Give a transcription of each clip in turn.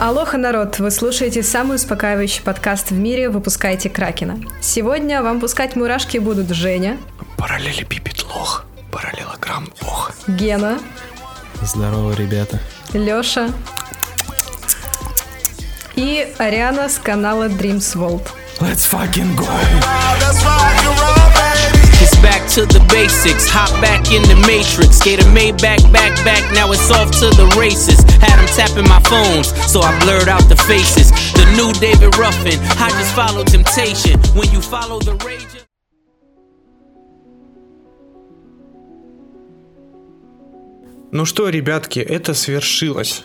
Алоха, народ! Вы слушаете самый успокаивающий подкаст в мире «Выпускайте Кракена». Сегодня вам пускать мурашки будут Женя. Параллелепипед лох. Параллелограмм лох. Гена. Здорово, ребята. Лёша. И Ариана с канала Dreams World. Let's fucking go! Let's fucking roll, baby. to the basics. Hop back in the matrix. Get a Maybach back back. Now it's off to the races. Had them tapping my phones, so I blurred out the faces. The new David Ruffin. I just follow temptation. When you follow the rage. Ну что, ребятки, это свершилось.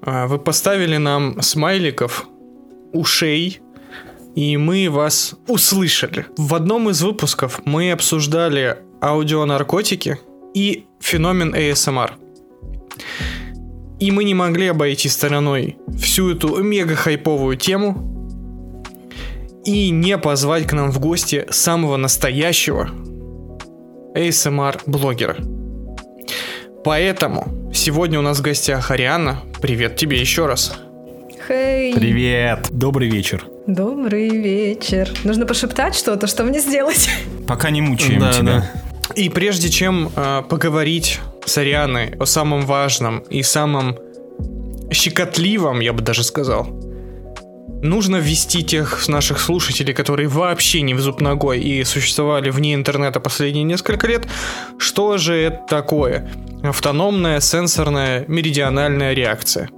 Вы поставили нам смайликов, ушей, гостей, и мы вас услышали. В одном из выпусков мы обсуждали аудионаркотики и феномен ASMR. И мы не могли обойти стороной всю эту мега-хайповую тему и не позвать к нам в гости самого настоящего ASMR-блогера. Поэтому сегодня у нас в гостях Ариана. Привет тебе еще раз. Хей. Hey. Привет. Добрый вечер. Добрый вечер. Нужно пошептать что-то, что мне сделать? Пока не мучаем да, тебя. Да. И прежде чем э, поговорить с Арианой о самом важном и самом щекотливом, я бы даже сказал, нужно ввести тех наших слушателей, которые вообще не в зуб ногой и существовали вне интернета последние несколько лет, что же это это такое? Автономная сенсорная меридиональная реакция.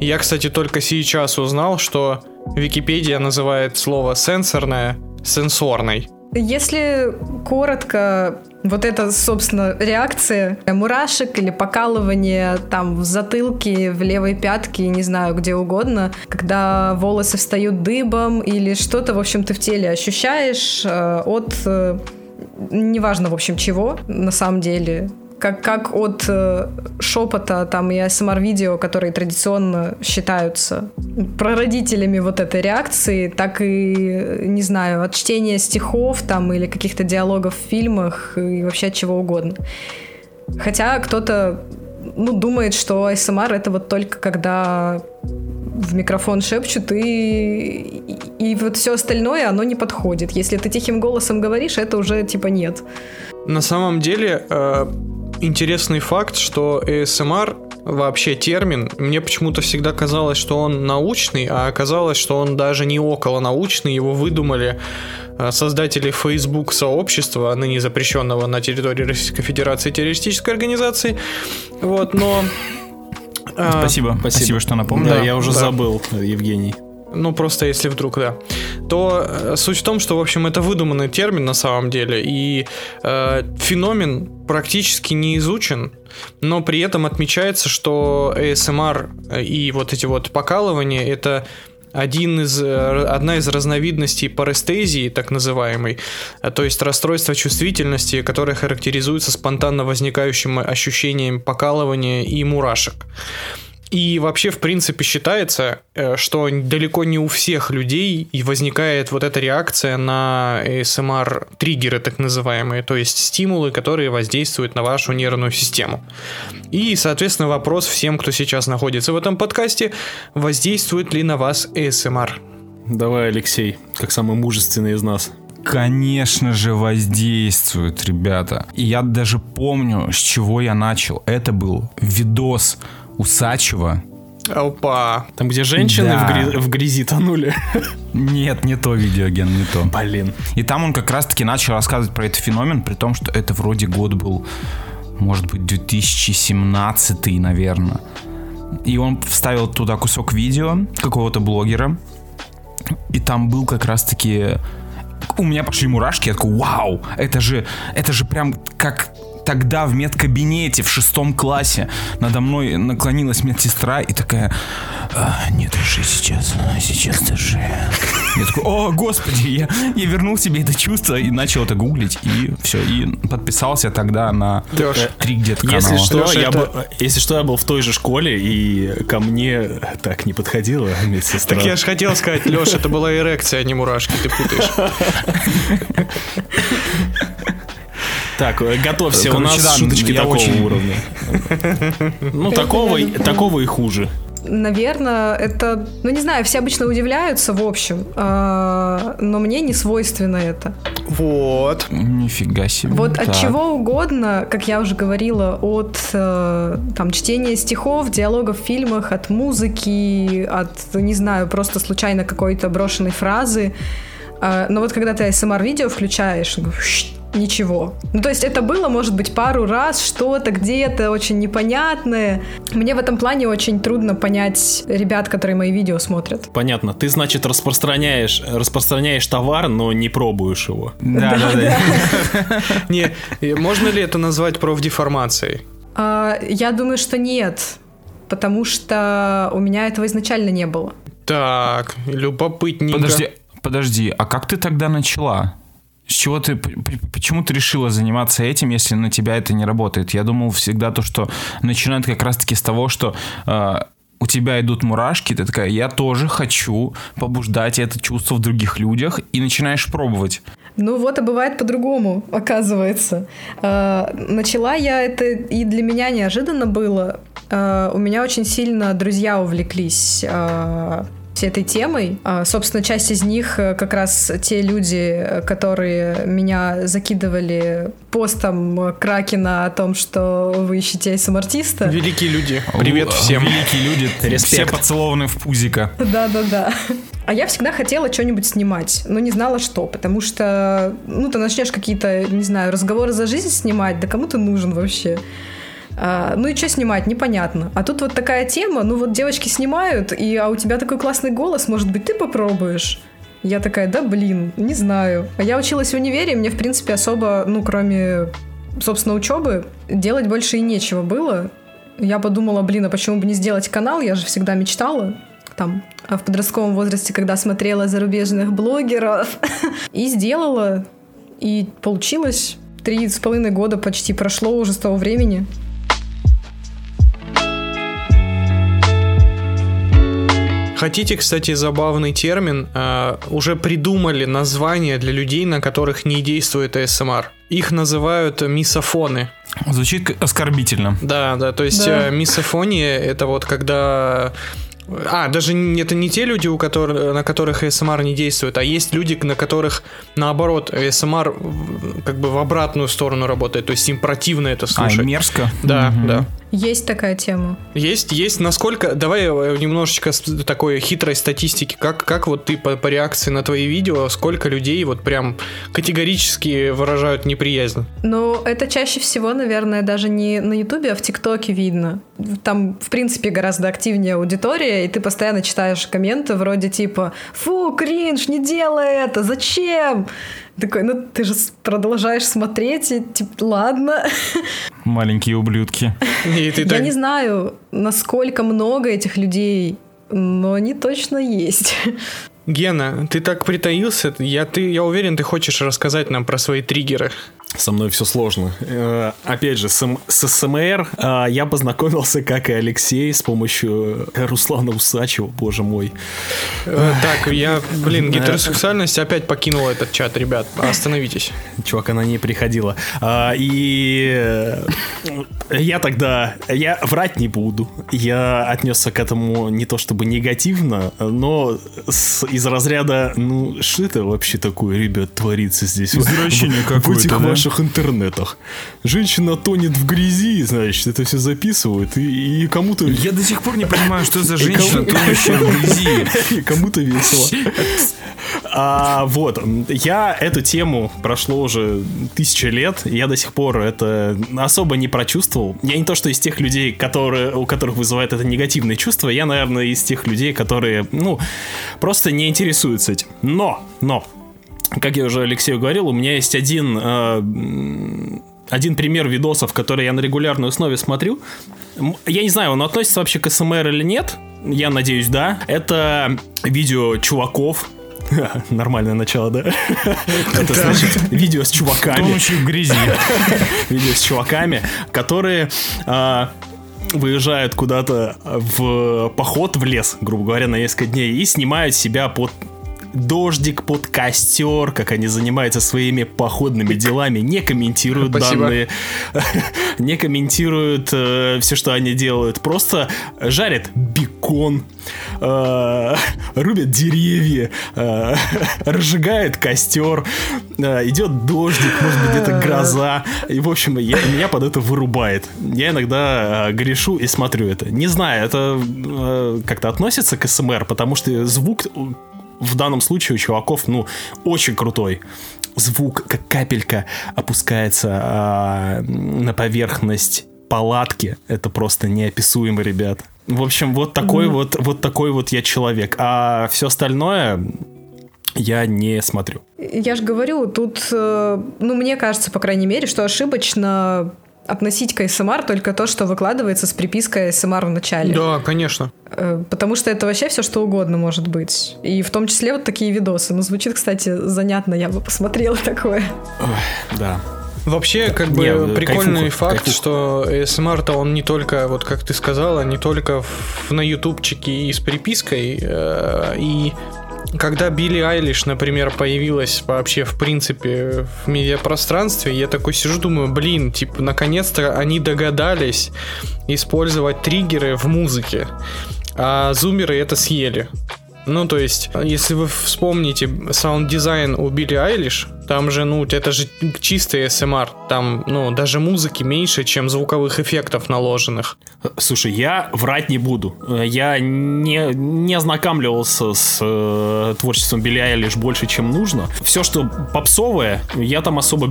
Я, кстати, только сейчас узнал, что Википедия называет слово сенсорное сенсорной. Если коротко, вот эта, собственно, реакция мурашек или покалывание там в затылке, в левой пятке, не знаю, где угодно, когда волосы встают дыбом или что-то, в общем, ты в теле ощущаешь э, от э, неважно, в общем, чего, на самом деле, как, как от э, шепота там и ASMR-видео, эм которые традиционно считаются прародителями вот этой реакции, так и, не знаю, от чтения стихов там или каких-то диалогов в фильмах и вообще от чего угодно. Хотя кто-то ну, думает, что ASMR эм это вот только когда в микрофон шепчут и, и вот все остальное, оно не подходит. Если ты тихим голосом говоришь, это уже типа нет. На самом деле, э, интересный факт, что ASMR вообще термин, мне почему-то всегда казалось, что он научный, а оказалось, что он даже не около научный, его выдумали э, создатели Facebook сообщества, ныне запрещенного на территории Российской Федерации террористической организации. Вот, но а, спасибо, спасибо, что напомнил. Да, я уже да. забыл, Евгений. Ну, просто если вдруг, да. То э, суть в том, что, в общем, это выдуманный термин на самом деле, и э, феномен практически не изучен, но при этом отмечается, что ASMR э, и вот эти вот покалывания — это один из, э, одна из разновидностей парестезии, так называемой, то есть расстройство чувствительности, которое характеризуется спонтанно возникающим ощущением покалывания и мурашек. И вообще, в принципе, считается, э, что далеко не у всех людей возникает вот эта реакция на ASMR-триггеры, так называемые, то есть стимулы, которые воздействуют на вашу нервную систему. И, соответственно, вопрос всем, кто сейчас находится в этом подкасте, воздействует ли на вас ASMR? Давай, Алексей, людей, как самые мужественные из нас конечно же, воздействует, ребята. И я даже помню, с чего я начал. Это был видос Усачева. Опа. Там, где женщины да. в, грязи, в грязи тонули. Нет, не то видеоген, не то. Блин. И там он как раз-таки начал рассказывать про этот феномен, при том, что это вроде год был, может быть, 2017, наверное. И он вставил туда кусок видео какого-то блогера, и там был как раз-таки... У меня пошли мурашки, я такой, вау, это же, это же прям как тогда в медкабинете в шестом классе надо мной наклонилась медсестра и такая, а, не дыши сейчас, а сейчас дыши. Я такой, о, господи, я, я вернул себе это чувство и начал это гуглить, и все, и подписался тогда на Леш, три где-то канала. Если что, Леш, я это, бы если что, я был в той же школе, и ко мне так не подходила медсестра. Так я же хотел сказать, Леша, это была эрекция, а не мурашки, ты путаешь. Так, готовься, Короче, у нас да, шуточки такого очень... уровня. Ну, такого, такого и хуже. Наверное, это, ну не знаю, все обычно удивляются, в общем, э, но мне не свойственно это. Вот, вот, ну, нифига себе. Вот так. от чего угодно, как я уже говорила, от э, там чтения стихов, диалогов в фильмах, от музыки, от, не знаю, просто случайно какой-то брошенной фразы. Э, но вот когда ты СМР-видео включаешь, ну, ничего. Ну, то есть это было, может быть, пару раз, что-то где-то очень непонятное. Мне в этом плане очень трудно понять ребят, которые мои видео смотрят. Понятно. Ты, значит, распространяешь, распространяешь товар, но не пробуешь его. Форму. Да, да, да. Не, можно ли это назвать профдеформацией? А, я думаю, что нет, потому что у меня этого изначально не было. Так, любопытненько. Подожди, подожди, а как ты тогда начала? С чего ты, почему ты решила заниматься этим, если на тебя это не работает? Я думал всегда то, что начинают как раз-таки с того, что э, у тебя идут мурашки, ты такая, я тоже хочу побуждать это чувство в других людях, и начинаешь пробовать. Ну вот, а бывает по-другому, оказывается. А, начала я это, и для меня неожиданно было. А, у меня очень сильно друзья увлеклись а, всей этой темой. Собственно, часть из них э, как раз те люди, которые меня закидывали постом э, Кракена о том, что вы ищете smrt артиста. Великие люди. Привет всем. Великие люди. Респект. Все поцелованы в пузика. Да-да-да. А я всегда хотела что-нибудь снимать, но не знала что, потому что, ну, ты начнешь какие-то, не знаю, разговоры за жизнь снимать, да кому ты нужен вообще? А, ну и что снимать, непонятно. А тут вот такая тема, ну вот девочки снимают, и а у тебя такой классный голос, может быть, ты попробуешь? Я такая, да блин, не знаю. А я училась в универе, мне, в принципе, особо, ну, кроме собственно, учебы делать больше и нечего было. Я подумала, блин, а почему бы не сделать канал? Я же всегда мечтала там а в подростковом возрасте, когда смотрела зарубежных блогеров. И сделала, и получилось. Три с половиной года почти прошло уже с того времени. Хотите, кстати, забавный термин? А, э, уже придумали названия для людей, на которых не действует ASMR. Их называют мисофоны. Звучит оскорбительно. Да, да, то есть да. Э, мисофония это вот когда а, даже это не те люди, у которых, на которых ASMR не действует, а есть люди, на которых, наоборот, ASMR как бы в обратную сторону работает, то есть им противно это а, слушать. А, мерзко? Да, угу. да. Есть такая тема. Угу. Есть, есть. Насколько... Давай э, немножечко такой хитрой статистики. Как, как вот ты по, по реакции на твои видео, сколько людей вот прям категорически выражают неприязнь? Ну, это чаще всего, наверное, даже не на Ютубе, а в ТикТоке видно. Там, в принципе, гораздо активнее аудитория, и ты постоянно читаешь комменты вроде типа «Фу, кринж, не делай это, зачем?» Такой, ну ты же продолжаешь смотреть, и типа, ладно. маленькие ублюдки. Я не знаю, насколько много этих людей, но они точно есть. Гена, ты так притаился, я, ты, я уверен, ты хочешь рассказать нам про свои триггеры. Со мной все сложно. Э, опять же, с, с СМР э, я познакомился, как и Алексей, с помощью э, Руслана Усачева, боже мой. Э, так, я, блин, э, гетеросексуальность опять покинула этот чат, ребят. Да, э, остановитесь. Чувак, она не приходила. А, и э, я тогда, я врать не буду. Я отнесся к этому не то чтобы негативно, но с, из разряда, ну, что это вообще такое, ребят, творится здесь? Извращение в, в этих да? ваших интернетах. Женщина тонет в грязи, значит, это все записывают, и, и кому-то... Я до сих пор не понимаю, что за женщина, тонущая в грязи. Кому-то весело. А, вот, я эту тему прошло уже тысячи лет, и я до сих пор это особо не прочувствовал. Я не то, что из тех людей, которые, у которых вызывает это негативные чувства, я, наверное, из тех людей, которые, ну, просто не интересуются этим. Но, но, как я уже Алексею говорил, у меня есть один... Э, один пример видосов, которые я на регулярной основе смотрю, я не знаю, он относится вообще к СМР или нет. Я надеюсь, да. Это видео чуваков, Нормальное начало, да? Это значит видео с чуваками. Тонущих в грязи. Видео с чуваками, которые а, выезжают куда-то в поход в лес, грубо говоря, на несколько дней и снимают себя под дождик, под костер, как они занимаются своими управления походными делами не комментируют Спасибо. данные, не комментируют э, все, что они делают, просто жарят бекон, э, рубят деревья, э, разжигает костер, э, идет дождик, может быть где-то гроза, и в общем я, меня под это вырубает. Я иногда э, грешу и смотрю это. Не знаю, это э, как-то относится к СМР, потому что звук в данном случае у чуваков, ну, очень крутой звук, как капелька опускается э, на поверхность палатки. Это просто неописуемо, ребят. В общем, вот такой mm-hmm. вот, вот такой вот я человек. А все остальное я не смотрю. Я же говорю, тут, э, ну, мне кажется, по крайней мере, что ошибочно относить к СМР эм только то, что выкладывается с припиской СМР эм в начале. Да, конечно. Э, потому что это вообще все что угодно может быть. И в том числе вот такие видосы. Ну, звучит, кстати, занятно, я бы посмотрела такое. Ой, да. Вообще, да, как бы не, прикольный кайфуха, факт, кайфуха. что ASMR-то он не только, вот как ты сказала, не только в, на ютубчике и с припиской, э, и когда Билли Айлиш, например, появилась вообще в принципе в медиапространстве, я такой сижу, думаю, блин, типа, наконец-то они догадались пытались использовать триггеры в музыке, а зумеры это съели. Ну, то есть, если вы вспомните саунд-дизайн у Билли Айлиш, там же, ну, это же чистый SMR, там, ну, даже музыки меньше, чем звуковых эффектов наложенных. Слушай, я врать не буду. Я не, не ознакомливался с э, творчеством Билли Айлиш больше, чем нужно. Все, что попсовая. Я там особо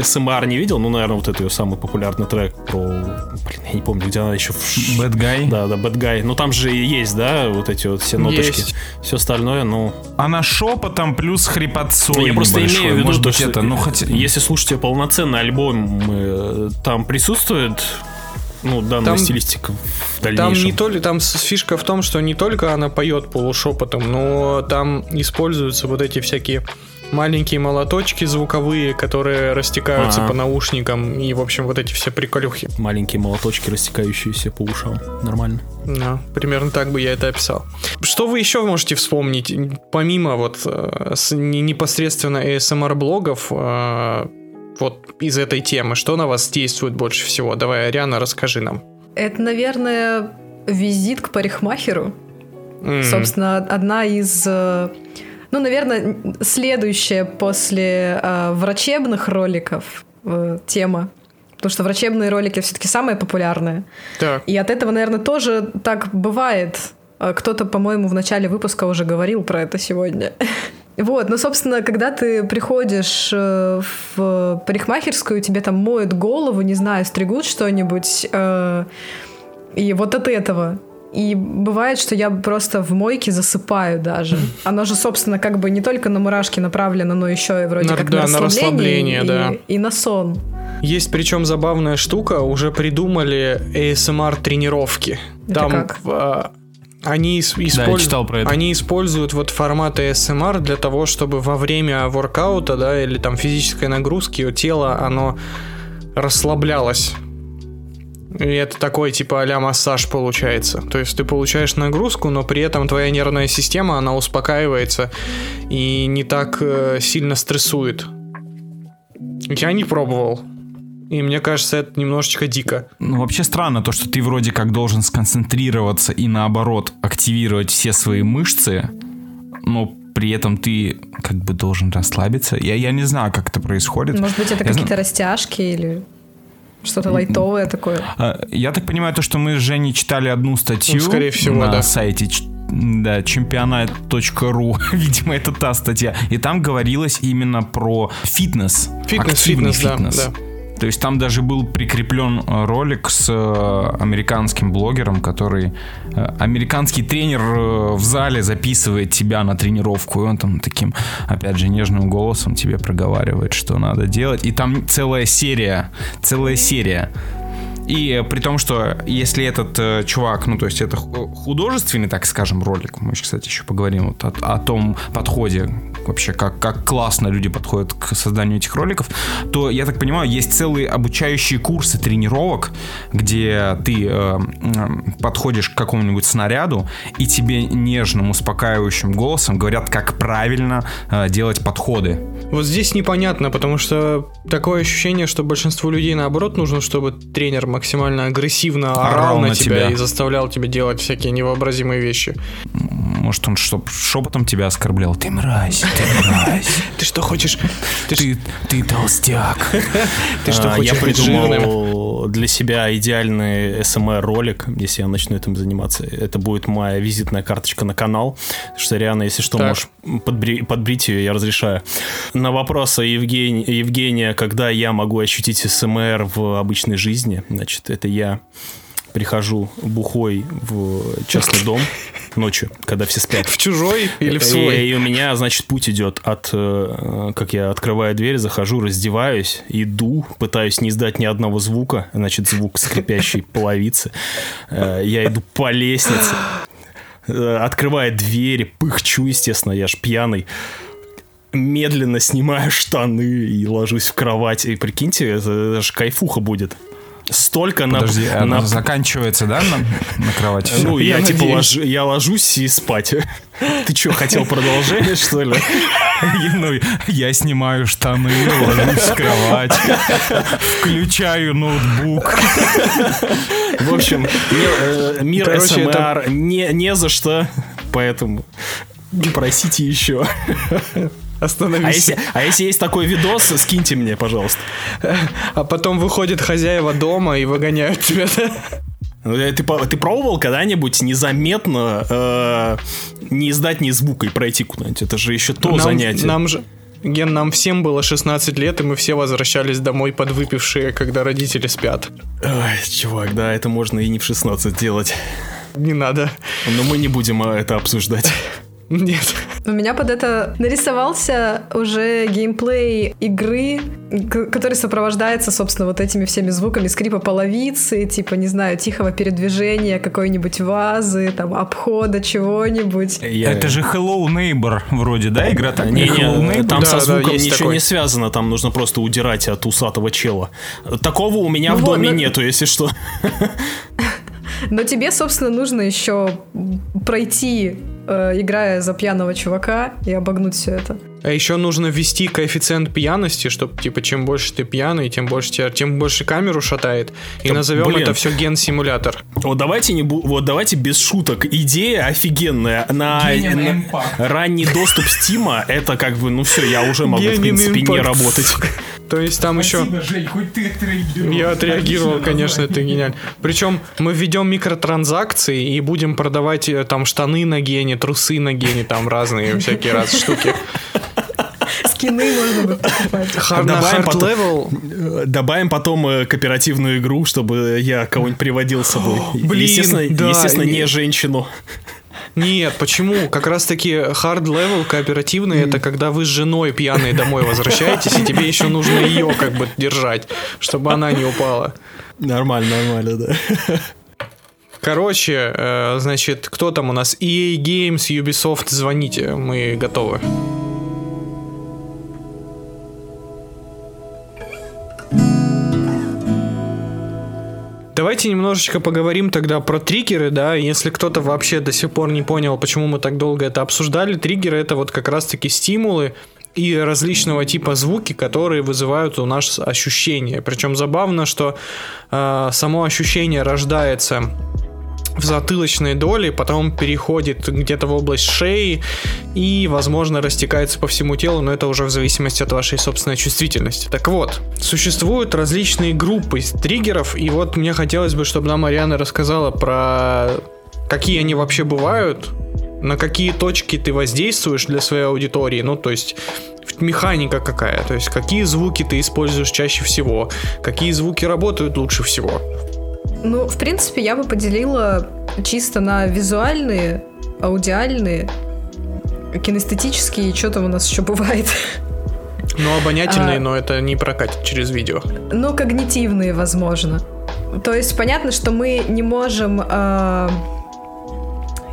СМР не видел. Ну, наверное, вот это ее самый популярный трек про... Блин, я не помню, где она еще... В... Bad Guy? Да, да, Bad Guy. Ну, там же есть, да, вот эти вот все ноточки. Есть. Все остальное, ну... Она шепотом плюс хрипотцой ну, Я просто имею в виду, Может то, что это, ну, хотя... Э, если слушать ее полноценный альбом, э, там присутствует ну, данная там, стилистика в дальнейшем. Там, не только, там фишка в том, что не только она поет полушепотом, но там используются вот эти всякие маленькие молоточки звуковые, которые растекаются А-а. по наушникам и, в общем, вот эти все приколюхи. Маленькие молоточки, растекающиеся по ушам. Нормально. Да, примерно так бы я это описал. Что вы еще можете вспомнить, помимо вот э, с, непосредственно ASMR-блогов, э, вот из этой темы, что на вас действует больше всего? Давай, Ариана, расскажи нам. Это, наверное, визит к парикмахеру. Mm. Собственно, одна из... Э, ну, наверное, следующая после э, врачебных роликов э, тема потому что врачебные ролики все-таки самые популярные. Так. И от этого, наверное, тоже так бывает. Э, кто-то, по-моему, в начале выпуска уже говорил про это сегодня. Вот, ну, собственно, когда ты приходишь э, в парикмахерскую, тебе там моют голову, не знаю, стригут что-нибудь, этого. И вот от этого. И бывает, что я просто в мойке засыпаю даже. Оно же, собственно, как бы не только на мурашки направлено, но еще и вроде на, как да, на расслабление, на расслабление и, да. и на сон. Есть причем забавная штука, уже придумали ASMR тренировки. Это Там как? А, они использ... да, про это. Они используют вот формат ASMR для того, чтобы во время воркаута, да, или там физической нагрузки нагрузки, ее тело, оно расслаблялось. И это такой типа а массаж получается. То есть ты получаешь нагрузку, но при этом твоя нервная система, она успокаивается и не так э, сильно стрессует. Я не пробовал. И мне кажется, это немножечко дико. Ну, вообще странно то, что ты вроде как должен сконцентрироваться и наоборот активировать все свои мышцы, но при этом ты как бы должен расслабиться. Я, я не знаю, как это происходит. Может быть, это я какие-то знаю... растяжки или что-то лайтовое такое. А, я так понимаю, то, что мы с Женей читали одну статью ну, скорее всего, на да. сайте да, чемпионат.ру, видимо, это та статья. И там говорилось именно про фитнес. Фитнес, активный фитнес, фитнес. Да, да. То есть там даже был прикреплен э, ролик с э, американским блогером, который Э, американский тренер э, в зале записывает тебя на тренировку, и он там таким, опять же, нежным голосом тебе проговаривает, что надо делать. И там целая серия, целая серия и при том, что если этот э, чувак, ну то есть это художественный, так скажем, ролик, мы, кстати, еще поговорим вот о, о том подходе вообще, как, как классно люди подходят к созданию этих роликов, наушников, то, я так понимаю, есть целые обучающие курсы тренировок, где ты э, подходишь к какому-нибудь снаряду, и тебе нежным, успокаивающим голосом говорят, как правильно э, делать подходы. Вот здесь непонятно, потому что такое ощущение, что большинству людей наоборот нужно, чтобы тренер максимально агрессивно орал, орал на, на тебя, тебя и заставлял тебя делать всякие невообразимые вещи. Может, он что, шепотом тебя оскорблял? Ты мразь, ты мразь. Ты что хочешь? Ты, ты, ты толстяк. Ты что, а, хочешь Я придумал для себя идеальный СМР-ролик, эм если я начну этим заниматься. Это будет моя визитная карточка на канал. Что реально, если что, можешь подбрить ее, я разрешаю. На вопрос Евгения, когда я могу ощутить СМР эм в обычной жизни, значит, это я прихожу бухой в частный дом ночью когда все спят. В чужой или в свой? И, и у меня, значит, путь идет от, э, э, как я открываю дверь, захожу, раздеваюсь, иду, пытаюсь не издать ни одного звука, значит, звук скрипящей половицы. Э, я иду по лестнице, открывая двери, пыхчу, естественно, я ж пьяный медленно снимаю штаны и ложусь в кровать. И прикиньте, это, это же кайфуха будет лежит. Столько Подожди, на... Подожди, а на... заканчивается, да, на, на кровати? Ну, я, я типа лож... я ложусь и спать. Ты что, хотел продолжение, что ли? Ну, я снимаю штаны, ложусь в кровать, включаю ноутбук. В общем, мир э, СМР не за что, поэтому просите еще. Остановись. А если, а если есть такой видос, скиньте мне, пожалуйста пожалуйста. А потом выходят хозяева дома и выгоняют тебя. Ну, э, ты, ты пробовал когда-нибудь незаметно э, не издать ни звука и пройти куда-нибудь? Это же еще то нам, занятие. Нам же, Ген, нам всем было 16 лет, и мы все возвращались домой подвыпившие, когда родители спят. Ой, чувак, да, это можно и не в 16 делать. Не надо. Но мы не будем э, это обсуждать. Нет. У меня под это нарисовался уже геймплей игры, который сопровождается, собственно, вот этими всеми звуками скрипа половицы, типа, не знаю, тихого передвижения какой-нибудь вазы, там, обхода чего-нибудь. Я... Это же Hello Neighbor вроде, да, игра так? Не, не, там да, со звуком да, ничего такой. не связано, там нужно просто удирать от усатого чела. Такого у меня ну в вот, доме но... Ну нету, если что. Но тебе, собственно, нужно еще пройти, э, играя за пьяного чувака и обогнуть все это. А еще нужно ввести коэффициент пьяности, чтобы типа чем больше ты пьяный, тем больше тебя, тем больше камеру шатает. И да, назовем блин. это все ген-симулятор. Вот давайте не бу... вот давайте без шуток. Идея офигенная. На, Генин на... Impact. ранний доступ Стима это как бы ну все, я уже могу Генин в принципе Impact. не работать. То есть там Спасибо, еще. Жень, хоть ты отреагировал. Я отреагировал, Отлично, конечно, это гениально. Причем мы введем микротранзакции и будем продавать э, там штаны на гене, трусы на гене, там разные всякие раз штуки скины можно будет покупать. Hard, добавим, hard level. Э, добавим потом э, кооперативную игру, чтобы я кого-нибудь приводил с собой. Блин, естественно, да, естественно не... не женщину. Нет, почему? Как раз таки hard level кооперативный mm. это когда вы с женой домой, пьяные домой возвращаетесь, и тебе еще нужно ее как бы держать, чтобы она не упала. Нормально, нормально, да. Короче, э, значит, кто там у нас? EA Games, Ubisoft, звоните, мы готовы. Давайте немножечко поговорим тогда про триггеры, да, если кто-то вообще до сих пор не понял, почему мы так долго это обсуждали, триггеры это вот как раз раз-таки стимулы и различного типа звуки, которые вызывают у нас ощущения. Причем забавно, что э, само ощущение рождается в затылочной доле, потом переходит где-то в область шеи и, возможно, растекается по всему телу, но это уже в зависимости от вашей собственной чувствительности. Так вот, существуют различные группы триггеров, и вот мне хотелось бы, чтобы нам Ариана рассказала про какие они вообще бывают, на какие точки ты воздействуешь для своей аудитории, ну, то есть механика какая, то есть какие звуки ты используешь чаще всего, какие звуки работают лучше всего. Ну, в принципе, я бы поделила чисто на визуальные, аудиальные, кинестетические, что там у нас еще бывает. Ну, обонятельные, а, но это не прокатит через видео. Но ну, когнитивные, возможно то есть понятно, что мы не можем э,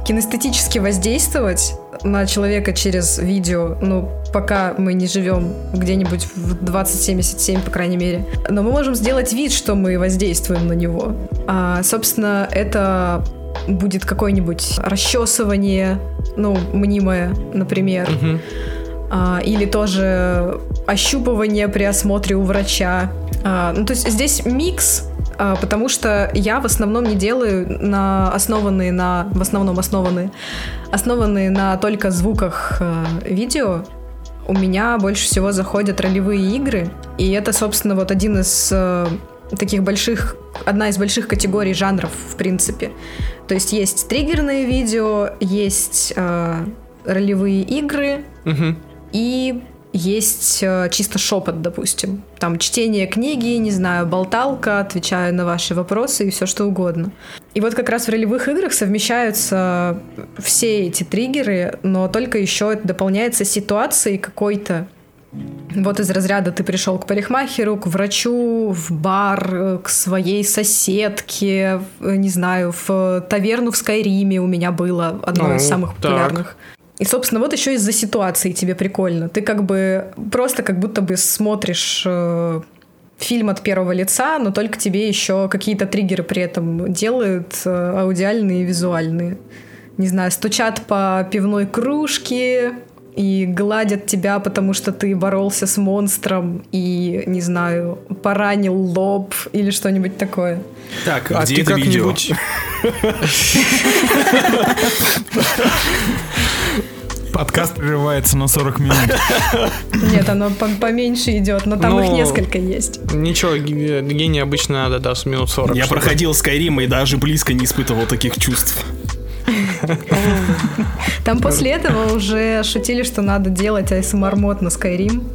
кинестетически воздействовать на человека через видео, ну, пока мы не живем где-нибудь в 2077, по крайней мере. Но мы можем сделать вид, что мы воздействуем на него. А, собственно, это будет какое-нибудь расчесывание, ну, мнимое, например. Угу. Угу. А, или тоже ощупывание при осмотре у врача. А, ну, то есть здесь микс а, потому что я в основном не делаю на основанные на в основном основанные основанные на только звуках э, видео. У меня больше всего заходят ролевые игры, и это, собственно, вот один из э, таких больших, одна из больших категорий жанров, в принципе. То есть есть триггерные видео, есть э, ролевые игры угу. и есть э, чисто шепот, допустим. Там чтение книги, не знаю, болталка, отвечаю на ваши вопросы и все что угодно. И вот как раз в ролевых играх совмещаются все эти триггеры, но только еще это дополняется ситуацией какой-то. Вот из разряда ты пришел к парикмахеру, к врачу, в бар, к своей соседке, Э, не знаю, в таверну в Скайриме у меня было одно ну, из самых популярных. Так. И, собственно, вот еще из-за ситуации тебе прикольно. Ты как бы просто как будто бы смотришь э, фильм от первого лица, но только тебе еще какие-то триггеры при этом делают, э, аудиальные и визуальные. Не знаю, стучат по пивной кружке и гладят тебя, потому что ты боролся с монстром и, не знаю, там поранил лоб или что-нибудь такое. Так, а где ты это видео? Подкаст прерывается на 40 минут. Нет, оно по поменьше идет, но там но... их ну, несколько есть. Ничего, гений обычно надо, да, с минут 40. Я чтобы... проходил Skyrim и даже близко не испытывал таких чувств. Там после этого уже шутили, что надо делать ASMR-мод на Skyrim.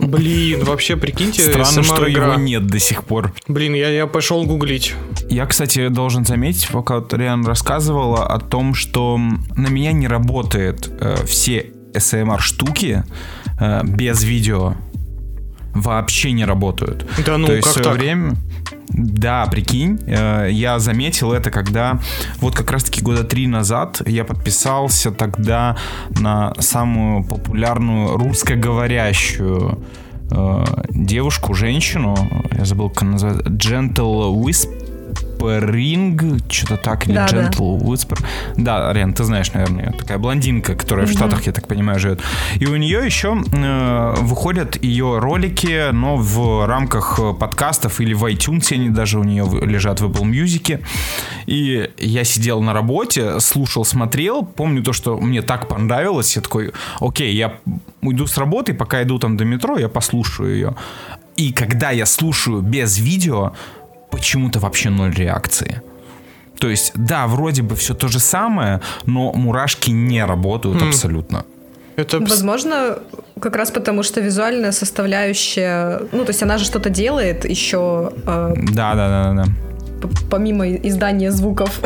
Блин, вообще прикиньте, странно, что его нет до сих пор. Блин, я, я пошел гуглить. Я, кстати, должен заметить, пока Ториан рассказывала о том, что на меня не работают э, все SMR штуки э, без видео. Вообще не работают. Да ну, То есть как в свое так? время. Да, прикинь, э, я заметил это, когда вот как раз-таки года три назад назад я подписался тогда на самую популярную русскоговорящую э, девушку, женщину, я забыл, как она называется, Gentle Whispering, что-то так, или да, Gentle да. Whisper. Да, Рен, ты знаешь, наверное, такая блондинка, которая mm-hmm. в Штатах, я так понимаю, живет. И у нее еще э, выходят ее ролики, но в рамках э, подкастов или в iTunes они даже у нее лежат в Apple Music. Америки. И я сидел на работе, слушал, смотрел. Помню то, что мне так понравилось. Я такой, окей, я уйду с работы, пока иду там до метро, я послушаю ее. И когда я слушаю без видео, почему-то вообще ноль реакции. То есть, да, вроде бы все то же самое, но мурашки не работают mm. абсолютно. Это... Возможно, как раз потому, что визуальная составляющая, ну, то есть она же что-то делает еще. Э, да, да, да, да. Помимо издания звуков.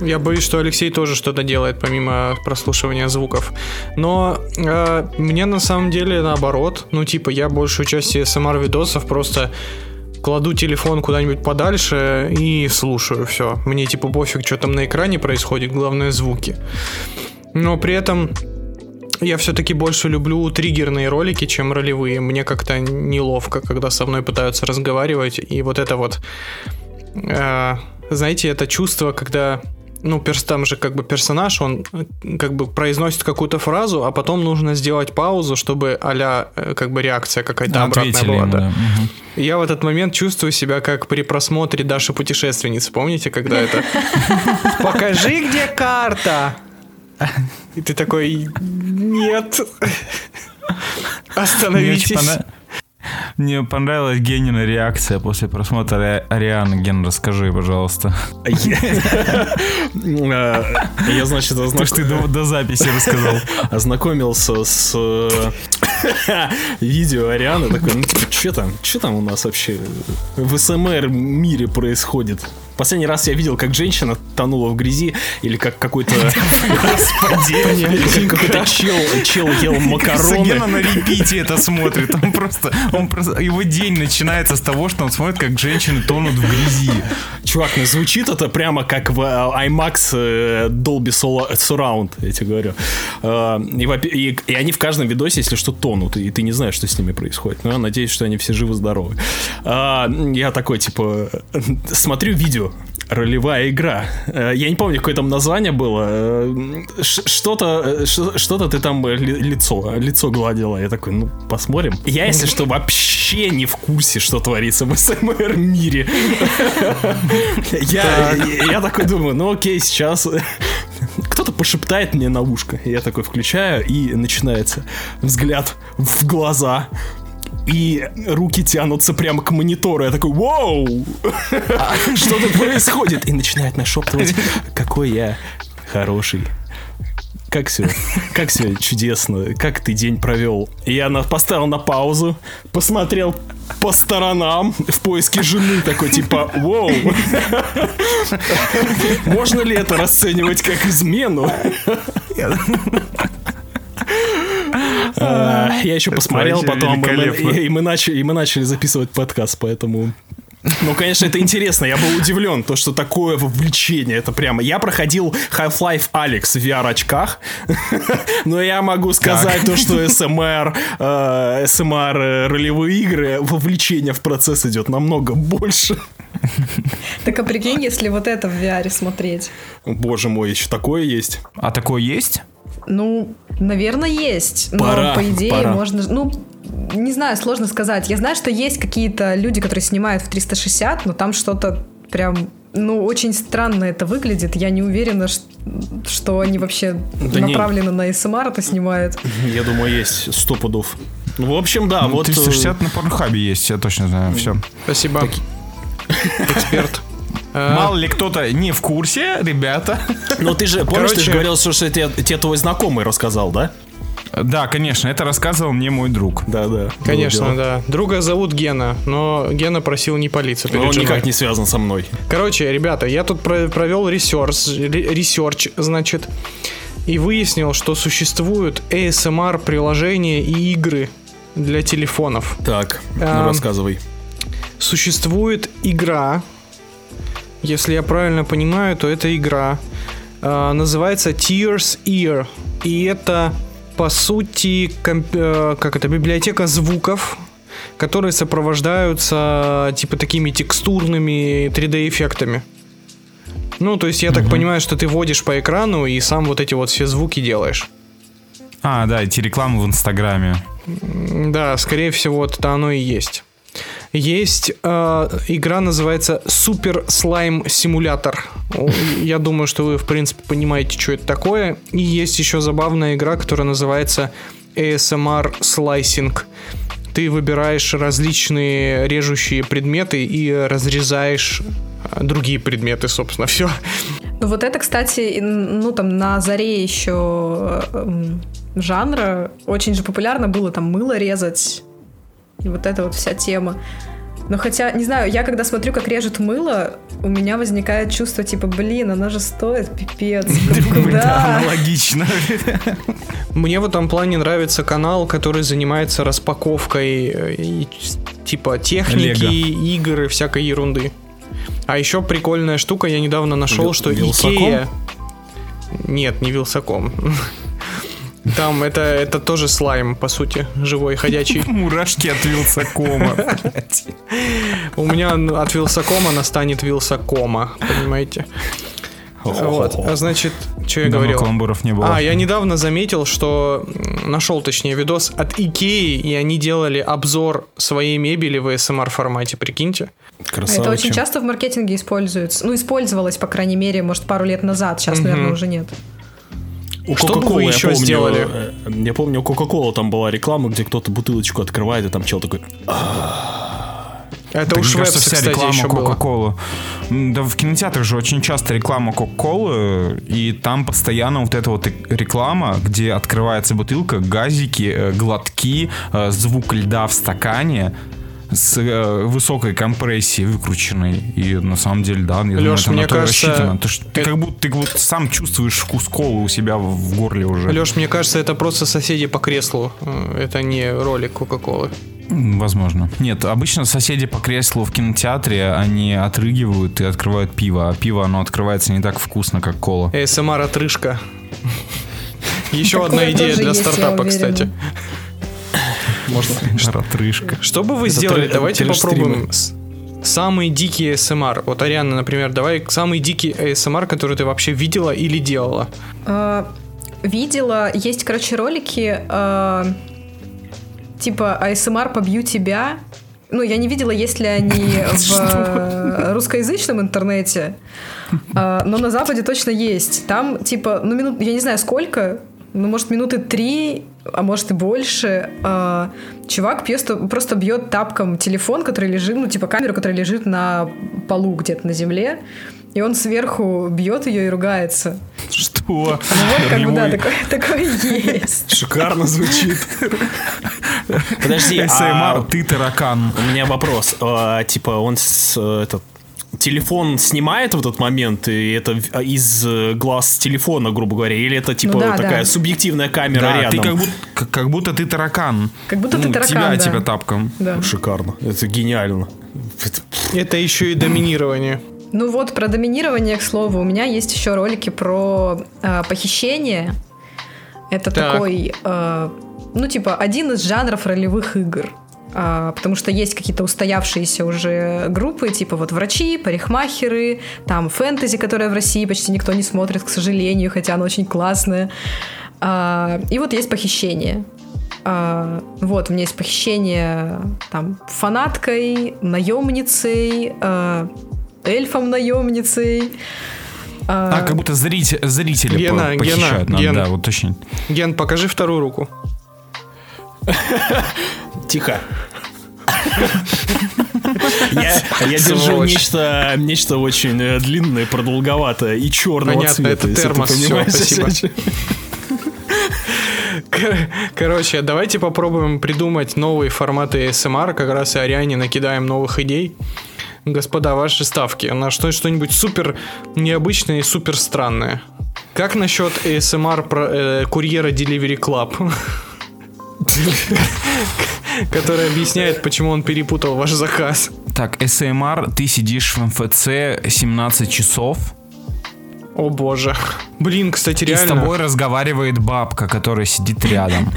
Я боюсь, что Алексей тоже что-то делает, помимо прослушивания звуков. Но э, мне на самом деле наоборот. Ну, типа, я большую часть SMR-видосов эм просто кладу телефон куда-нибудь подальше и слушаю все. Мне типа пофиг, что там на экране происходит, главное звуки но при этом я все-таки больше люблю триггерные ролики, чем ролевые. Мне как-то неловко, когда со мной пытаются разговаривать. И вот это вот, э, знаете, это чувство, когда, ну, перс, там же как бы персонаж, он э, как бы произносит какую-то фразу, а потом нужно сделать паузу, чтобы а как бы реакция какая-то Ответили обратная была. Ему, да. да. Угу. Я в этот момент чувствую себя как при просмотре Даши путешественницы. Помните, когда это? Покажи, где где карта? И ты такой, нет. Остановитесь. Мне понравилась Генина реакция после просмотра Арианы. Ген, расскажи, пожалуйста. А а, я, значит, То, что ты до записи рассказал. Ознакомился с э, видео Арианы, такой, ну, типа, что там? Что там у нас вообще? в СМР мире происходит. Последний раз я видел, как женщина тонула в грязи, или как какой-то... Господи! Какой-то чел, чел ел макароны. Сагена на репите это смотрит. Он просто, он просто... Его день начинается с того, что он смотрит, как женщины тонут в грязи. Чувак, ну звучит это прямо как в э, IMAX э, Dolby э, Surround, я тебе говорю. И, и, и они в каждом видосе, если что, тонут, и ты не знаешь, что с ними происходит происходит. Но ну, я надеюсь, что они все живы-здоровы. А, я такой, типа, смотрю видео ролевая игра. Э, я не помню, какое там название было. Э, что-то, э, что-то ты там лицо, лицо гладила. Я такой, ну, посмотрим. Я, если что, вообще не в курсе, что творится в СМР мире. Я такой думаю, ну окей, сейчас кто-то пошептает мне на ушко. Я такой включаю, и начинается взгляд в глаза и руки тянутся прямо к монитору. Я такой, вау! А что тут происходит? И начинает нашептывать, какой я хороший. Как все, как все чудесно, как ты день провел. Я на, поставил на паузу, посмотрел по сторонам в поиске жены, такой типа, вау, можно ли это расценивать как измену? А, я еще посмотрел потом, и мы начали записывать подкаст, поэтому ну, конечно, это интересно. Я был удивлен, то, что такое вовлечение. Это прямо... Я проходил Half-Life Алекс в VR-очках, но я могу сказать так. то, что СМР, э, СМР э, ролевые игры вовлечение вовлечение в процесс идет намного больше. Так а прикинь, если вот это в VR смотреть. Боже мой, еще такое есть. А такое есть? Ну, наверное, есть. Но пора, по идее пора. можно. Ну, не знаю, сложно сказать. Я знаю, что есть какие-то люди, которые снимают в 360, но там что-то прям ну, очень странно это выглядит. Я не уверена, что, что они вообще да направленно не. на СМР эм это снимают. Я думаю, есть сто часов. Ну, в общем, да. Ну, вот... 360 э, на Порнхабе есть, я точно знаю, все. Спасибо. Так... Эксперт. Мало ли кто-то не в курсе, ребята. Ну ты же, помнишь, Короче... ты же говорил, что, что тебе, тебе твой знакомый рассказал, да? Да, конечно, это рассказывал мне мой друг. Да, да. Конечно, Друга. да. Друга зовут Гена, но Гена просил не палиться. Но он женой. никак не связан со мной. Короче, ребята, я тут провел ресерч, ресерч Search, значит, и выяснил, что существуют ASMR приложения и игры для телефонов. Так, ну а, рассказывай. Существует игра, если я правильно понимаю, то это игра, а, называется Tears Ear, и это по сути комп, э, как это библиотека звуков, которые сопровождаются типа такими текстурными 3D эффектами. Ну, то есть я так понимаю, что ты водишь по экрану и сам вот эти вот все звуки делаешь. А, да, эти рекламы в Инстаграме. Да, скорее всего, это оно и есть. Есть э, игра, называется Супер Слайм Симулятор. Я думаю, что вы, в принципе, понимаете, что это такое. И есть еще забавная игра, которая называется ASMR Slicing. Эм ножик. Ты выбираешь различные режущие предметы и разрезаешь а, другие предметы, собственно, все. Ну вот это, кстати, ну там на заре еще эм, жанра очень же популярно было там мыло резать и вот эта вот вся тема. Но хотя, не знаю, я когда смотрю, как режет мыло, у меня возникает чувство, типа, блин, она же стоит, пипец. Ну, куда? Да, аналогично. Мне в этом плане нравится канал, который занимается распаковкой э, и, типа техники, Лего. игр и всякой ерунды. А еще прикольная штука, я недавно нашел, Вил, что Вилсаком? Икея... Нет, не Вилсаком. Там это, это тоже слайм, по сути, живой, ходячий. Мурашки от Вилсакома, У меня от Вилсакома настанет Вилсакома, понимаете? Вот, а значит, что я Давно говорил? каламбуров не было. А, я недавно заметил, что нашел, точнее, видос от Икеи, и они делали обзор своей мебели в SMR эм формате, прикиньте. Красавчик. Это очень часто в маркетинге используется. Ну, использовалось, по крайней мере, может, пару лет назад, сейчас, угу. наверное, уже нет. У Что бы вы еще я помню, сделали? Э, я помню, у Coca-Cola там была реклама, где кто-то бутылочку открывает, и там чел такой... «А, это да, уж кажется, вся кстати, реклама Кока-Колы. Да в кинотеатрах же очень часто реклама Кока-Колы, и там постоянно вот эта вот реклама, где открывается бутылка, газики, э, глотки, э, звук льда в стакане с э, высокой компрессией выкрученной. И на самом деле, да, я Леш, думаю, это мне на то кажется, рассчитано. То, что ты, ты э, как будто ты вот сам чувствуешь вкус колы у себя в горле уже. Леш, мне кажется, это просто соседи по креслу Кока-Колу. Э, это не ролик Кока-Колы. Возможно. Нет, обычно соседи по креслу в кинотеатре, они отрыгивают и открывают пиво, а пиво, оно открывается не так вкусно, как кола. СМР-отрыжка. Эм Еще одна идея для стартапа, кстати можно. Эм Ратрышка. Что бы вы Это сделали? Тры... Давайте попробуем. Самый дикий ASMR. Эм вот Ариана, например, давай самый дикий ASMR, который ты вообще видела или делала. А, видела, есть, короче, ролики э, типа ASMR эм «Побью тебя». Ну, я не видела, есть ли они в э, русскоязычном интернете, э, но на Западе точно есть. Там, типа, ну, минут, я не знаю, сколько, ну, может, минуты три, а может и больше, э, чувак просто, просто бьет тапком телефон, который лежит, ну, типа камеру, которая лежит на полу где-то на земле, и он сверху бьет ее и ругается. Что? Ну вот, как Ремой. бы, да, такое, такое есть. Шикарно звучит. Подожди, а... ты таракан. У меня вопрос. А, типа, он с, э, этот, телефон снимает в этот момент, и это а, из э, глаз телефона, грубо говоря, или это типа ну, да, такая да. субъективная камера да, рядом? Ты как, будто, как, как будто ты таракан. Как будудто ну, ты таракан. Тебя, да. тебя типа тапком. Да. Шикарно. Это гениально. Это еще и доминирование. Ну вот, про доминирование, к слову, у меня есть еще ролики про э, похищение. Это так. такой, э, ну типа, один из жанров ролевых игр. А, потому что есть какие-то устоявшиеся уже группы, типа вот врачи, парикмахеры, там фэнтези, которое в России почти никто не смотрит, к сожалению, хотя оно очень классное. А, и вот есть похищение. А, вот, у меня есть похищение там фанаткой, наемницей, а, эльфом-наемницей. А, а как будто зритель, зрители Гена, по похищают. Гена, нам, Ген, да, вот точно. Ген, покажи вторую руку. Тихо. Я, я держу нечто, нечто очень э, длинное, продолговатое и черного Понятно, цвета. Это термос, все, спасибо. Короче, давайте попробуем придумать новые форматы СМР, как раз и Ариане накидаем новых идей. Господа, ваши ставки на что что-нибудь супер необычное и супер странное. Как насчет ASMR про, э, курьера Delivery Club? Который объясняет, почему он перепутал ваш заказ. Макс, так, СМР, ты сидишь в МФЦ 17 часов. О боже. Блин, кстати, реально. И с тобой разговаривает бабка, которая сидит рядом.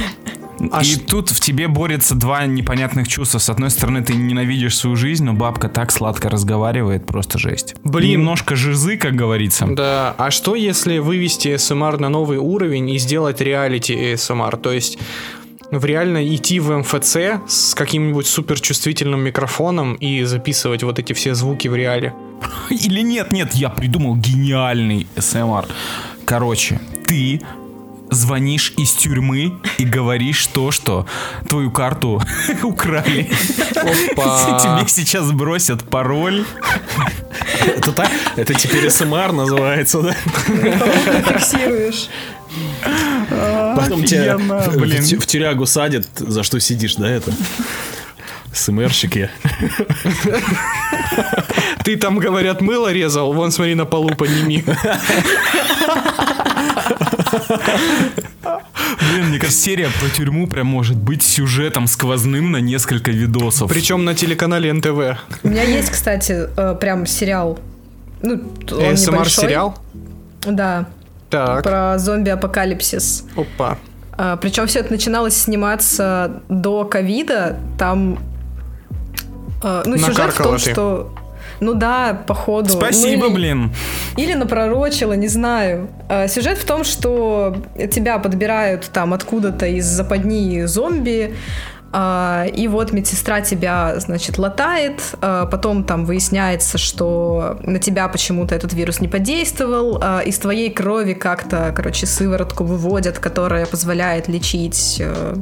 А и ш... тут в тебе борются два непонятных чувства. С одной стороны, ты ненавидишь свою жизнь, но бабка так сладко разговаривает, просто жесть. Блин. Немножко жизы, как говорится. Да, а что если вывести СМР на новый уровень и сделать реалити СМР? То есть в реально идти в МФЦ с каким-нибудь суперчувствительным микрофоном и записывать вот эти все звуки в реале. Или нет, нет, я придумал гениальный СМР. Короче, ты звонишь из тюрьмы и говоришь то, что твою карту украли. Опа. Тебе сейчас бросят пароль. Это так? Это теперь СМР называется, да? Фиксируешь. Потом тебя в тюрягу садят, за что сидишь, да, это? СМРщики. Ты там, говорят, мыло резал, вон смотри на полу подними. Блин, мне кажется, серия про тюрьму прям может быть сюжетом сквозным на несколько видосов. Причем на телеканале НТВ. У меня есть, кстати, э, прям сериал. Ну, он СМР эм сериал? Да. Так. Про зомби-апокалипсис. Опа. А, причем все это начиналось сниматься до ковида. Там. А, ну, Накаркала сюжет в том, ты. что. Ну да, походу. Спасибо, ну, или, блин. Или напророчила, не знаю. А, сюжет в том, что тебя подбирают там откуда-то из западни зомби. А, и вот медсестра тебя, значит, латает, вирус, э, потом там выясняется, что на тебя почему-то этот вирус не подействовал, э, из твоей крови как-то, короче, сыворотку выводят, которая позволяет лечить э,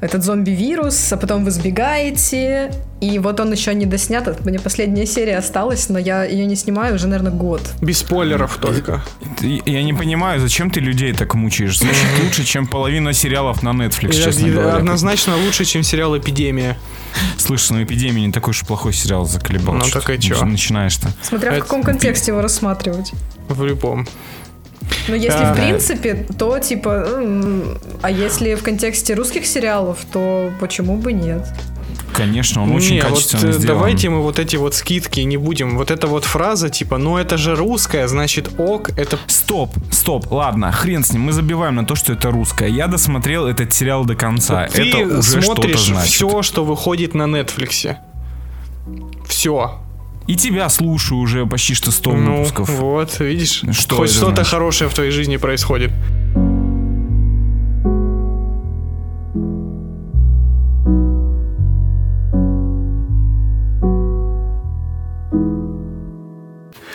этот зомби-вирус, а потом вы сбегаете, и вот он еще не доснят. У меня последняя серия осталась, но я ее не снимаю уже, наверное, год. Без спойлеров только. Я не понимаю, зачем ты людей так мучаешь? Звучит лучше, чем половина сериалов на Netflix, это, честно говоря. Однозначно лучше, чем сериал «Эпидемия». Слышь, ну «Эпидемия» не такой уж плохой сериал заколебал. Ну так и чё? Начинаешь-то. Смотря это... в каком контексте его рассматривать. В любом. Но ну, если а, да. в принципе, то типа, а если в контексте русских сериалов, то почему бы нет? Конечно, он очень не, качественно вот э, сделан. Давайте мы вот эти вот скидки не будем. Вот эта вот фраза типа, ну это же русская, значит ок, это Стоп, стоп, ладно, хрен с ним, мы забиваем на то, что это русское. Я досмотрел этот сериал до конца. Вот это ты уже смотришь что значит. все, что выходит на Netflix. Все. И тебя слушаю уже почти что 100 ну, выпусков. Вот, видишь, что хоть что-то хорошее в твоей жизни происходит.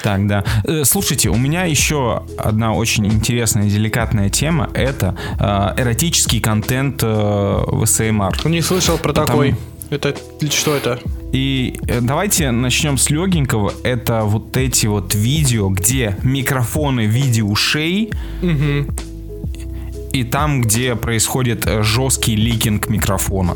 Так, да. Э, слушайте, у меня еще одна очень интересная и деликатная тема. Это э, эротический контент э, в СМР. Не слышал про Потому... такой. Это что это? И давайте начнем с легенького. Это вот эти вот видео, где микрофоны в виде ушей. Угу. И там, где происходит жесткий ликинг микрофона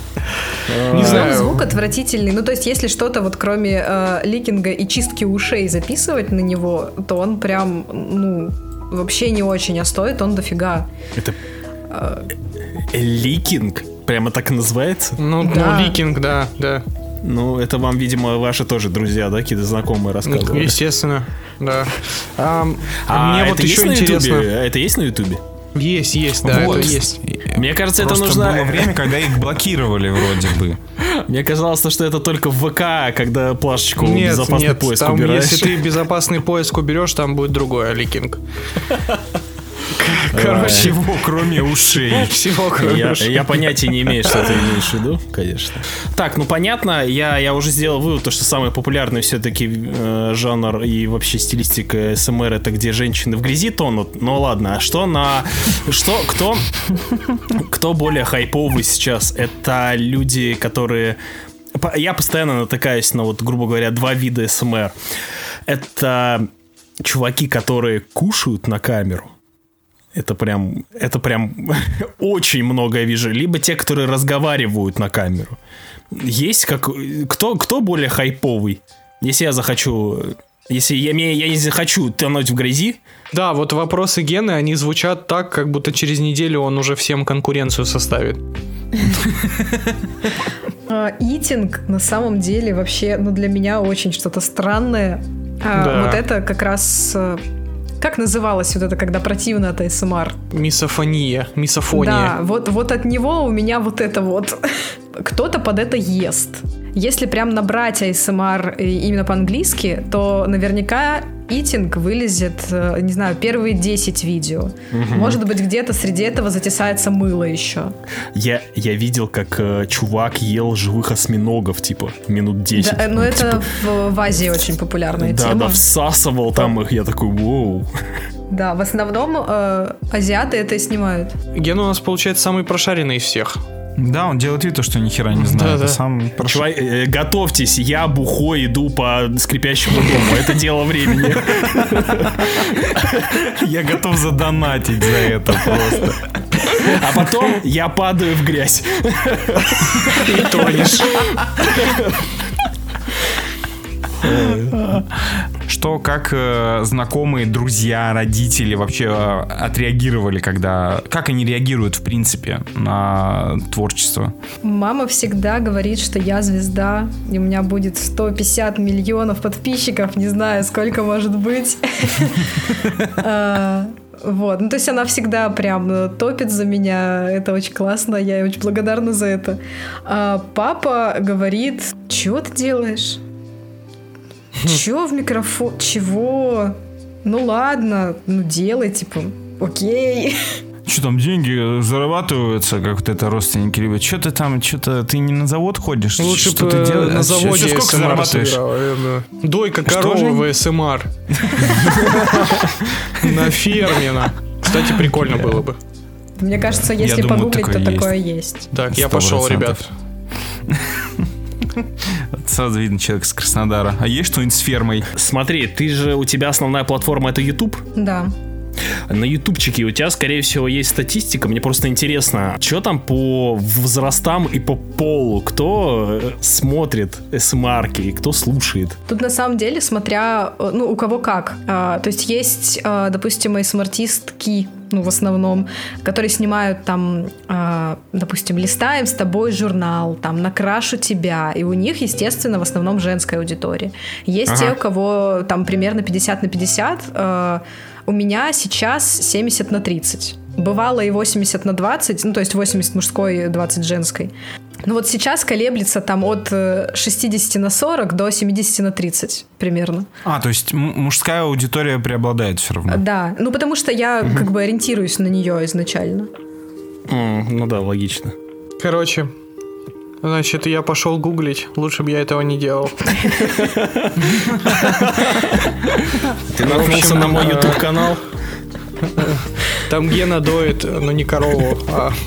Не э, знаю. Звук отвратительный. Ну, то есть, если что-то вот кроме э, ликинга и чистки ушей записывать на него, то он прям, ну, вообще не очень, а стоит он дофига. Это... Э, э, ликинг? Прямо так и называется? Ну, ну да. ну ликинг, да, да. Ну, это вам, видимо, ваши тоже друзья, да, какие-то знакомые ну, рассказывали? Естественно, да. А, а, а мне это вот еще есть интересно. На YouTube? Это есть на Ютубе? Есть, есть, да, вот. это есть. Мне кажется, Просто это нужно... было время, когда их блокировали вроде бы. Мне казалось, что это только в ВК, когда плашечку нет, безопасный нет, поиск там, убираешь. Если ты безопасный поиск уберешь, там будет другой аликинг. Короче, всего кроме ушей. Всего кроме я, ушей. Я понятия не имею, что ты имеешь в виду, конечно. Так, ну понятно, я, я уже сделал вывод, то, что самый популярный все-таки э, жанр и вообще стилистика статистика э, СМР это где женщины в грязи тонут. Ну ладно, а что на... Что, кто... Кто более хайповый сейчас? Это люди, которые... Я постоянно натыкаюсь на вот, грубо говоря, два вида СМР. Это чуваки, которые кушают на камеру. Это прям, это прям очень много я вижу. Либо те, которые разговаривают на камеру вижу. Есть как... Кто, кто более хайповый? Если я захочу... Если я, я не захочу тонуть в грязи... Да, вот вопросы Гены, они звучат так, как будто через неделю он уже всем конкуренцию составит. Итинг а, на самом деле вообще, ну для меня очень что-то странное. А, вот это как раз э, как называлось вот это, когда противно от эм АСМР? Мисофония. Мизофония, мисофония. Да, вот, вот от него у меня вот это вот. Кто-то под это ест. Если прям набрать ASMR эм э, именно по-английски, то наверняка Итинг вылезет, э, не знаю, первые 10 видео. Угу. Может быть, где-то среди этого затесается мыло еще. Я, я видел, как э, чувак ел живых осьминогов, типа, минут 10. Да, э, ну, ну типа... это в, в Азии очень популярная да, тема. Да, да, всасывал там их, я такой, воу. Да, в основном э, азиаты это снимают. Ген у нас, получается, самый прошаренный из всех. Да, он делает вид, что ни хера не знает. Да, да. Сам прошу. Чувак, э, э, готовьтесь, я бухой иду по скрипящему дому. Это дело времени. Я готов задонатить за это просто. А потом я падаю в грязь. И тонешь. Что, как э, знакомые, друзья, родители вообще э, отреагировали, когда... Как они реагируют, в принципе, на творчество? Мама всегда говорит, что я звезда, и у меня будет 150 миллионов подписчиков, не знаю, сколько может быть. Э, вот, ну то есть она всегда прям э, топит за меня, это очень классно, я ей очень благодарна за это. А папа говорит, чего ты делаешь? Чего в микрофон? Чего? Ну ладно, ну делай, типа, окей. Что там деньги зарабатываются, как вот это родственники любят? Что ты там, что-то ты не на завод ходишь? Лучше ну, что типа, ты делаешь? на заводе Сейчас, сколько зарабатываешь? Собирал, Дойка корова в СМР. На ферме. Кстати, прикольно было бы. Мне кажется, если я погуглить, думаю, такое то такое есть. есть. Так, 100%. я пошел, ребят. Сразу видно человек с Краснодара. А есть что-нибудь с фермой? Смотри, ты же, у тебя основная платформа это YouTube? Да. На ютубчике у тебя, скорее всего, есть статистика. Мне просто интересно, что там по возрастам и по полу? Кто э, смотрит смарки эм и кто слушает? Тут на самом деле, смотря, э, ну, у кого как. А, то есть есть, а, допустим, ASMR-артистки, ну, в основном, которые снимают там, э, допустим, листаем с тобой журнал, там, накрашу тебя, и у них, естественно, в основном женская аудитория. Есть ага. те, у кого там примерно 50 на 50, э, а, у меня сейчас 70 на 30. Бывало и 80 на 20, ну, то есть 80 мужской, 20 женской. Ну вот сейчас колеблется там от 60 э, на 40 до 70 на 30. 30 примерно. А, то есть мужская аудитория преобладает все равно? Да, ну потому что я угу. как бы ориентируюсь на нее изначально. Mm, ну да, логично. Короче, Значит, я пошел гуглить. Лучше бы я этого не делал. Ты наткнулся на мой YouTube канал? Э, э, там Гена доит, но не корову, а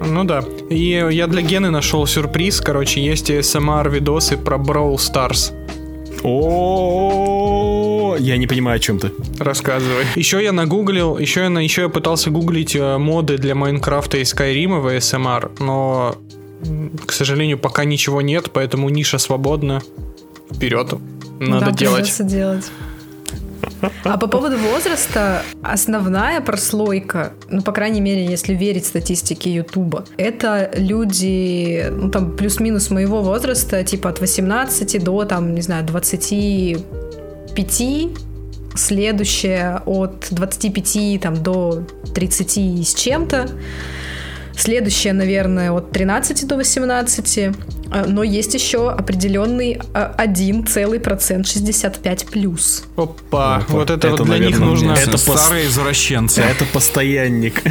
Ну да. И я для Гены нашел сюрприз. Короче, есть ASMR-видосы эм про Brawl Stars. О, я не понимаю, о чем ты. Рассказывай. Еще я нагуглил, еще я, на, еще я пытался гуглить э, моды для Майнкрафта и Скайрима в ASMR, эм но, к сожалению, пока ничего нет, поэтому ниша свободна. Вперед. Надо да, делать. делать. А по поводу возраста, основная прослойка это, ну, по крайней мере, если верить статистике Ютуба, это люди, ну, там, плюс-минус моего возраста, типа от 18 до, там, не знаю, 25, следующее от 25 там, до 30 с чем-то, следующее, наверное, от 13 до 18, а, но есть еще определенный а, один целый процент 65 плюс. Оп. Опа, Опа. вот это, это вот для наверное, них нужно это старые пос... извращенцы. Это постоянник.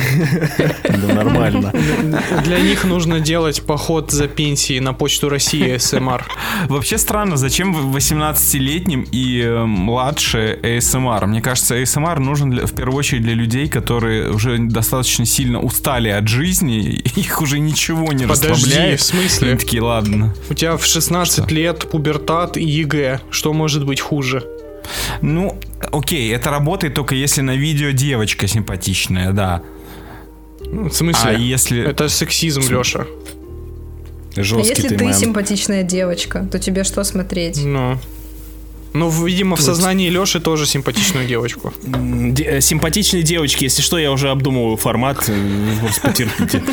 Да нормально. Для них нужно делать поход за пенсии на почту России СМР. Вообще странно, зачем 18-летним и э, младше СМР? Эм Мне кажется, СМР эм нужен в первую очередь для людей, которые уже достаточно сильно устали от жизни, их уже ничего не Подожди, расслабляет. в смысле? Они такие, ладно. У тебя в 16 лет пубертат и ЕГЭ хуже. Что может быть хуже? Ну, окей, это работает только если на видео девочка симпатичная, да. Ну, в смысле? А если... Это сексизм, С... Леша. Жесткий а если ты, ты симпатичная девочка, то тебе что смотреть? Ну. Ну, видимо, в сознании Лёши тоже симпатичную девочку. Де- э, симпатичные девочки, если что, я уже обдумываю формат, просто э, потерпите.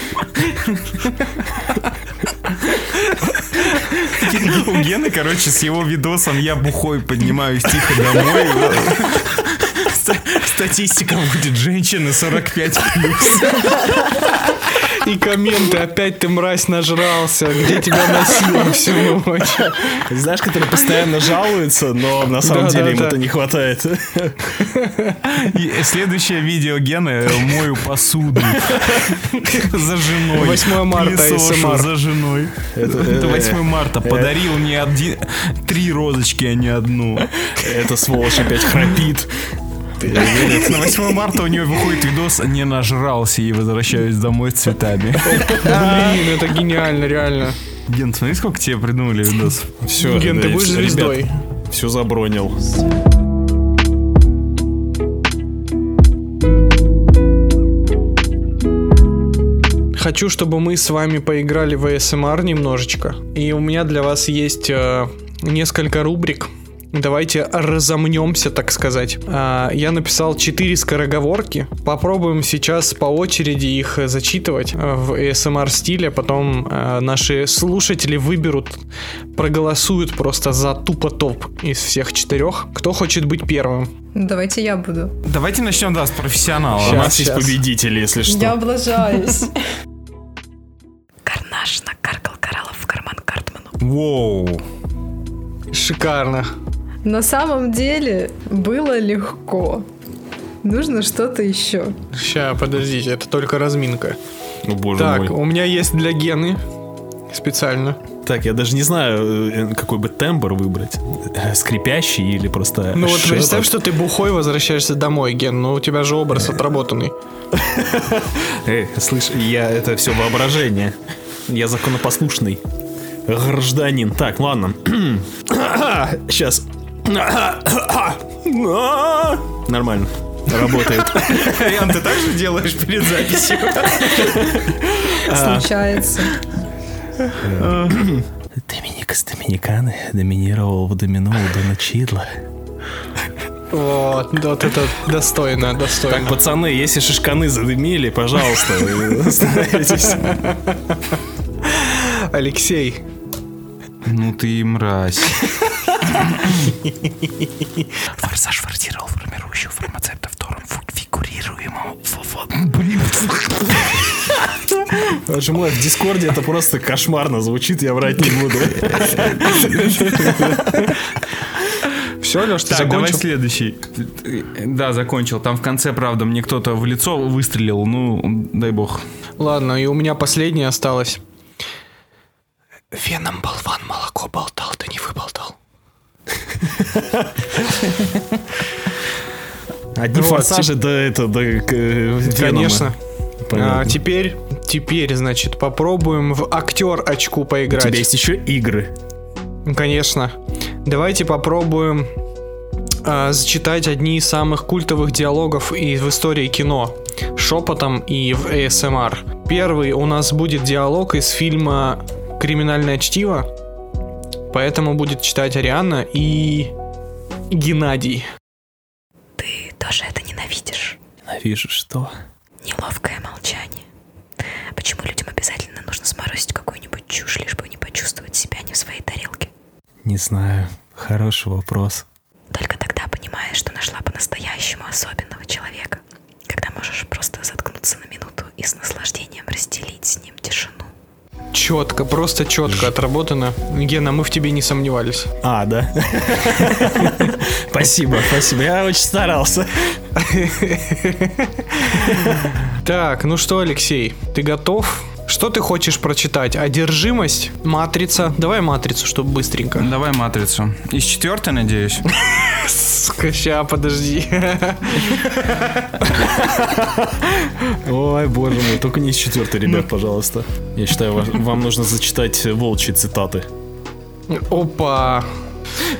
У Гены, короче, с его видосом я бухой поднимаюсь тихо домой. Статистика будет женщины 45 плюс. И комменты, опять ты, мразь, нажрался, где тебя носило всю ночь. Знаешь, которые постоянно жалуются, но на самом да, деле да, им да. это не хватает. Следующее видео Гены э, мою посуду за женой. 8 марта СМР. Эм за женой. Это 8 э, марта. Э. Подарил мне один... Три розочки, а не одну. Это сволочь опять храпит. На 8 марта у нее выходит видос «Не нажрался и возвращаюсь домой с цветами». Блин, это гениально, реально. Ген, смотри, сколько тебе придумали видос. Все, Ген, ты будешь звездой все забронил. Хочу, чтобы мы с вами поиграли в ASMR немножечко. И у меня для вас есть э, несколько рубрик. Давайте разомнемся, так сказать. Э, я написал 4 скороговорки. Попробуем сейчас по очереди их э, зачитывать э, в ASMR стиле. Потом э, наши слушатели выберут проголосуют просто за тупо топ из всех четырех. Кто хочет быть первым? Давайте я буду. Давайте начнем, да, с профессионала. Сейчас, У нас сейчас. есть победители, если что. Я облажаюсь. Карнаж накаркал кораллов в карман Картману. Воу. Шикарно. На самом деле было легко. Нужно что-то еще. Ща, подождите, это только разминка. О, ну, боже так, мой. у меня есть для Гены специально. Так, я даже не знаю, э, какой бы тембр выбрать. Э, скрипящий или просто... Ну вот шепот. представь, что ты бухой возвращаешься домой, Ген, но ну, у тебя же образ отработанный. Эй, слышь, я... Это все воображение. Я законопослушный. Гражданин. Так, ладно. Сейчас. А! Нормально. Работает. Ян, ты так же делаешь перед записью? Случается. Доминик из Доминиканы доминировал в домино у Дона Чидла. Вот, вот это достойно, достойно. Так, пацаны, если шишканы задымили, пожалуйста, остановитесь. Алексей, ну ты и мразь. Форсаж форсировал формирующую фармацевта втором фигурируемому. Блин. Отжимаю в Дискорде, это просто кошмарно звучит, я врать не буду. Все, Леш, ты так, закончил? давай следующий. Да, закончил. Там в конце, правда, мне кто-то в лицо выстрелил, ну, дай бог. Ладно, и у меня последнее осталось. Веном болван молоко болтал, да не выболтал. Одни ну, форсажи, да это, да, Конечно. А, теперь, теперь, значит, попробуем в актер очку поиграть. У тебя есть еще игры. Конечно. Давайте попробуем э, зачитать одни из самых культовых диалогов и в истории кино шепотом и в ASMR. Первый у нас будет диалог из фильма «Криминальное чтиво», поэтому будет читать Ариана и Геннадий. Ты тоже это ненавидишь? Ненавижу что? Неловкое молчание. Почему людям обязательно нужно сморозить какую-нибудь чушь, лишь бы не почувствовать себя не в своей тарелке? Не знаю. Хороший вопрос. Только тогда понимаешь, что нашла по-настоящему особенного человека, когда можешь просто заткнуться на минуту и с наслаждением разделить с ним тишину. Четко, просто четко отработано. Гена, мы в тебе не сомневались. А, да. Спасибо, спасибо. Я очень старался. Так, ну что, Алексей, ты готов? Что ты хочешь прочитать? Одержимость есть. Матрица. Давай матрицу, чтобы быстренько. Давай матрицу. Из четвертой, надеюсь. Сука, ща, подожди. Ой, боже мой, только не из четвертой, ребят, ну. пожалуйста. Я считаю, вам нужно зачитать э, волчьи цитаты. Опа.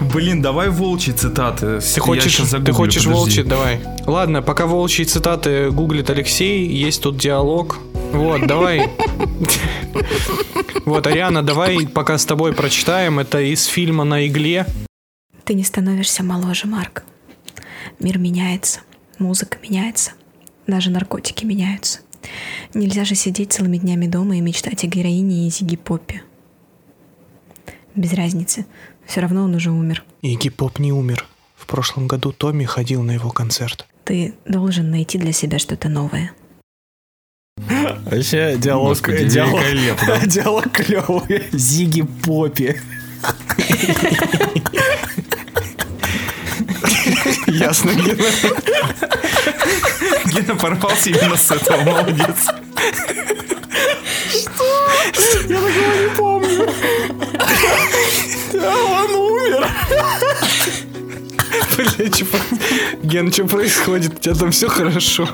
Блин, давай волчьи цитаты. Ты хочешь, загуглю, ты хочешь подожди. волчьи, давай. Ладно, пока волчьи цитаты гуглит Алексей, есть тут диалог Бог. Вот, давай. Вот, Ариана, давай пока с тобой прочитаем. Это из фильма «На игле». Ты не становишься моложе, Марк. Мир меняется, музыка меняется, даже наркотики меняются. Нельзя же сидеть целыми днями дома и мечтать о героине и Зиги Поппе. Без разницы, все равно он уже умер. Игги Поп не умер. В прошлом году Томми ходил на его концерт. Ты должен найти для себя что-то новое. Вообще диалог, Господи, диалог, диалог клевый. Зиги Поппи. Ясно, Гена. Гена порвался именно с этого, молодец. Что? Я такого не помню. Да, он умер. Бля, что... Ген, что происходит? У тебя там все хорошо.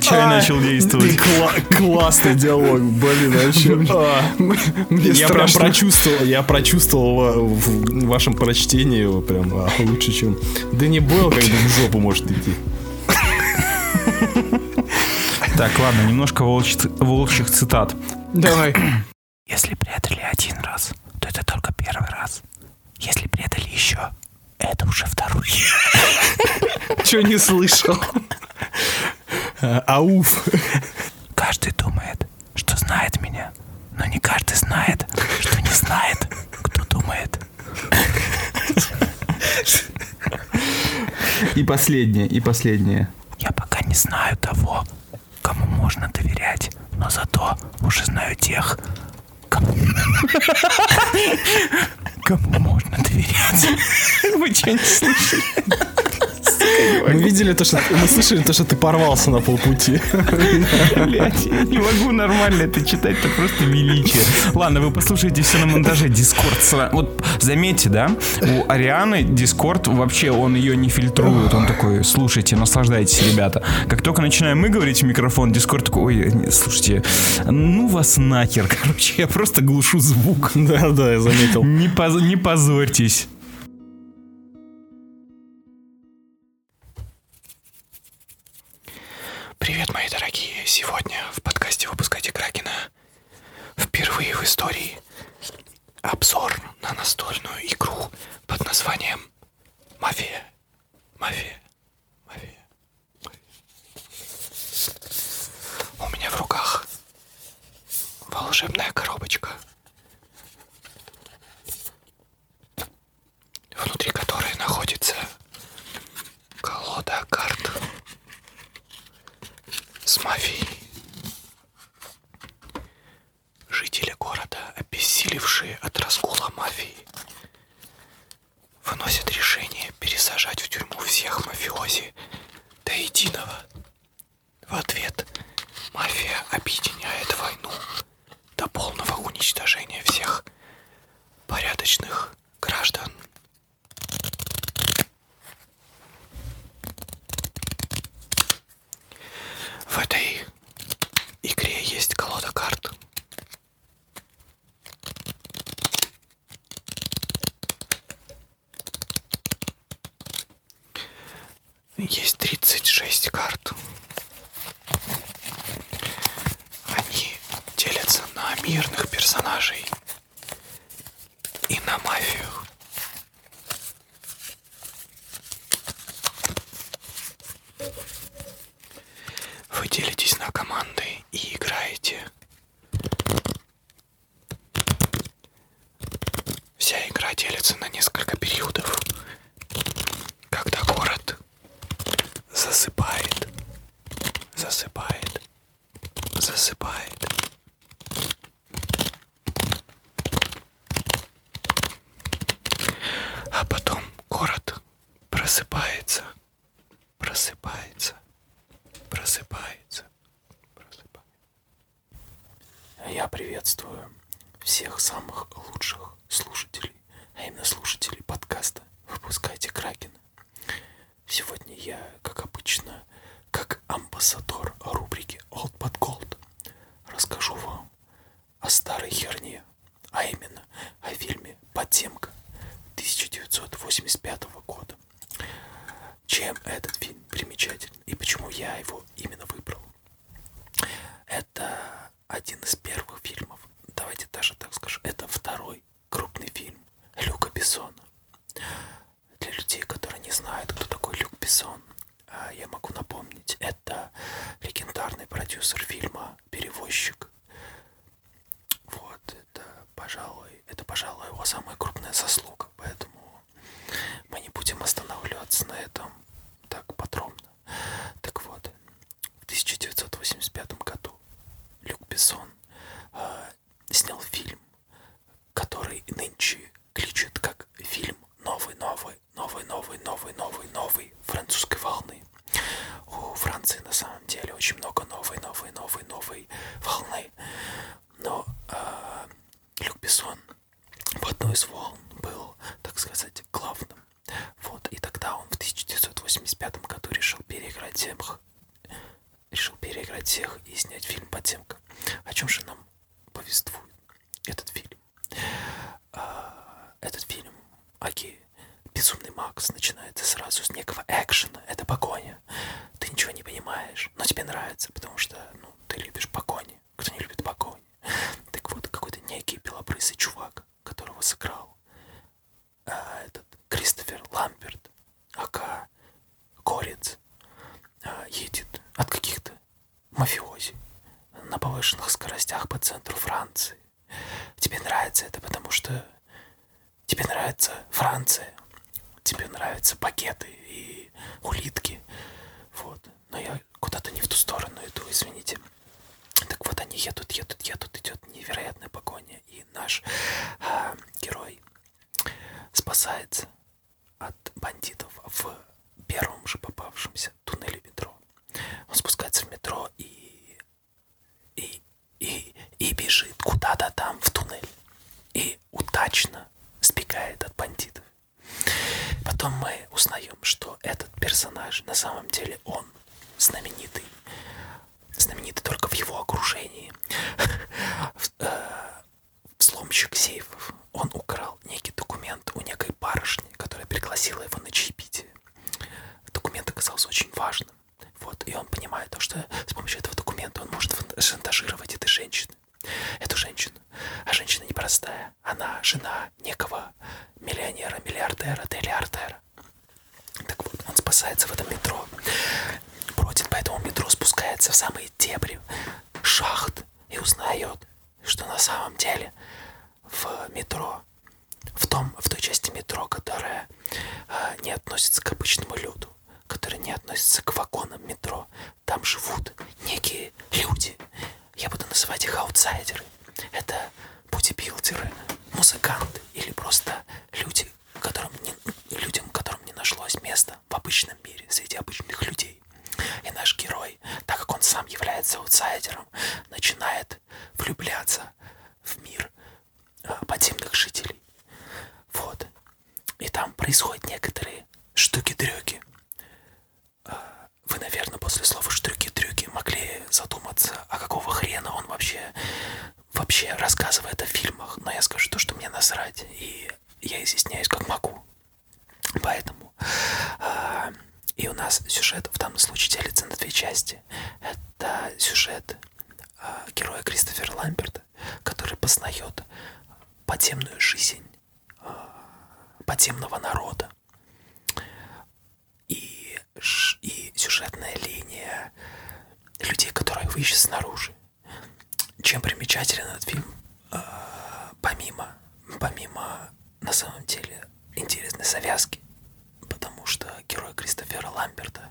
Чай а, начал действовать. Кла классный диалог, блин, вообще. А, мне я страшно. прям прочувствовал, я прочувствовал в вашем прочтении его прям а, лучше, чем Дэнни Бойл, когда в жопу может идти. Так, ладно, немножко волчь, волчьих цитат. Давай. Если предали один раз, то это только первый раз. Если предали еще, это уже второй. Че не слышал? А, ауф. Каждый думает, что знает меня, но не каждый знает, что не знает, кто думает. И последнее, и последнее. Я пока не знаю того, кому можно доверять, но зато уже знаю тех, кому, кому можно доверять. Вы что, не слышали? Мы видели то, что мы слышали то, что ты порвался на полпути. Блять, я не могу нормально это читать, это просто величие. Ладно, вы послушайте все на монтаже. Дискорд Вот заметьте, да, у Арианы Дискорд вообще он ее не фильтрует. Он такой, слушайте, наслаждайтесь, ребят чата. Как только начинаем мы говорить в микрофон, Дискорд такой, ой, не, слушайте, ну вас нахер, короче, я просто глушу звук. Да, да, я заметил. Не, поз- не позорьтесь. Привет, мои дорогие. Сегодня в подкасте «Выпускайте Кракена» впервые в истории обзор на настольную игру под названием Мафия. Мафия. Мафия. У меня в руках волшебная коробочка, внутри которой находится колода карт с мафией. Жители города, обессилевшие от разгула мафии, выносят решение пересажать в тюрьму всех мафиози до единого. В ответ мафия объединяет войну до полного уничтожения всех порядочных граждан. В этой игре есть колода карт. Есть 36 карт. Они делятся на мирных персонажей и на мафию. Вы делитесь на команды и играете. Вся игра делится на несколько периодов. Когда город засыпает, засыпает, засыпает, а потом город просыпается, просыпается, просыпается, просыпается. Я приветствую всех самых лучших слушателей, а именно слушателей подкаста «Выпускайте Кракена». Сегодня я, как обычно, как амбассадор рубрики Old But Gold, расскажу вам о старой херне, а именно о фильме «Подземка» 1985 года. Чем этот фильм примечателен и почему я его именно выбрал? Это один из первых фильмов, давайте даже так скажу, это второй крупный фильм Люка Бессона. Для людей, которые не знают, кто такой Люк Бессон, а, я могу напомнить, это легендарный продюсер фильма «Перевозчик». Вот, это, пожалуй, это, пожалуй, его самая крупная заслуга, поэтому мы не будем останавливаться на этом так подробно. Так вот, в 1985 году Люк Бессон э, снял фильм, который нынче кличет как фильм «Новый-новый», новой, новой, новой, новой, новой французской волны. У Франции на самом деле очень много новой, новой, новой, новой волны. Но э, Люк Бессон в одной из волн был, так сказать, главным. Вот, и тогда он в 1985 году решил переиграть всех, решил переиграть всех и снять фильм «Подземка». О чем же нам повествует этот фильм? А, этот фильм, окей, Безумный Макс начинается сразу с некого экшена, это погоня. Ты ничего не понимаешь, но тебе нравится, потому что ну, ты любишь погони. Кто не любит погони? Так вот, какой-то некий белобрысый чувак, которого сыграл а, этот Кристофер Ламберт, ака Корец, а, едет от каких-то мафиози на повышенных скоростях по центру Франции. Тебе нравится это, потому что тебе нравится Франция, тебе нравятся пакеты и улитки. Вот. Но я куда-то не в ту сторону иду, извините. Так вот они едут, едут, едут, идет невероятная погоня, и наш э, герой спасается от бандитов в первом же попавшемся туннеле метро. Он спускается в метро и, и, и, и бежит куда-то там в туннель. И удачно сбегает от бандитов. Потом мы узнаем, что этот персонаж на самом деле он знаменитый. Знаменитый только в его окружении. Взломщик э, сейфов он украл некий документ у некой барышни, которая пригласила его на чаепитие. Документ оказался очень важным. Вот, и он понимает то, что с помощью этого документа он может шантажировать этой женщины. Эту женщину. А женщина непростая. Она жена некого миллионера, миллиардера, триллиардера. Так вот, он спасается в этом метро. Бродит по этому метро, спускается в самые дебри шахт и узнает, что на самом деле в метро, в, том, в той части метро, которая э, не относится к обычному люду, которая не относится к вагонам метро, там живут некие люди. Я буду называть их аутсайдеры. Это бодибилдеры, музыканты или просто люди, которым не, людям, которым не нашлось места в обычном мире среди обычных людей герой. И наш герой, так как он сам является аутсайдером, начинает влюбляться в мир э, подземных жителей. Вот. И там происходят некоторые штуки-дрюки. Э, вы, наверное, после слова «штуки-дрюки» могли задуматься, а какого хрена он вообще, вообще рассказывает о фильмах. Но я скажу то, что мне насрать, и я изъясняюсь как могу. Поэтому э, и у нас сюжет в данном случае делится на две части. Это сюжет э, героя Кристофера Ламберта, который познает подземную жизнь э, подземного народа. И, и сюжетная линия людей, которые выйдут снаружи. Чем примечателен этот фильм? Э, помимо, помимо на самом деле интересной завязки, потому что герой Кристофера Ламберта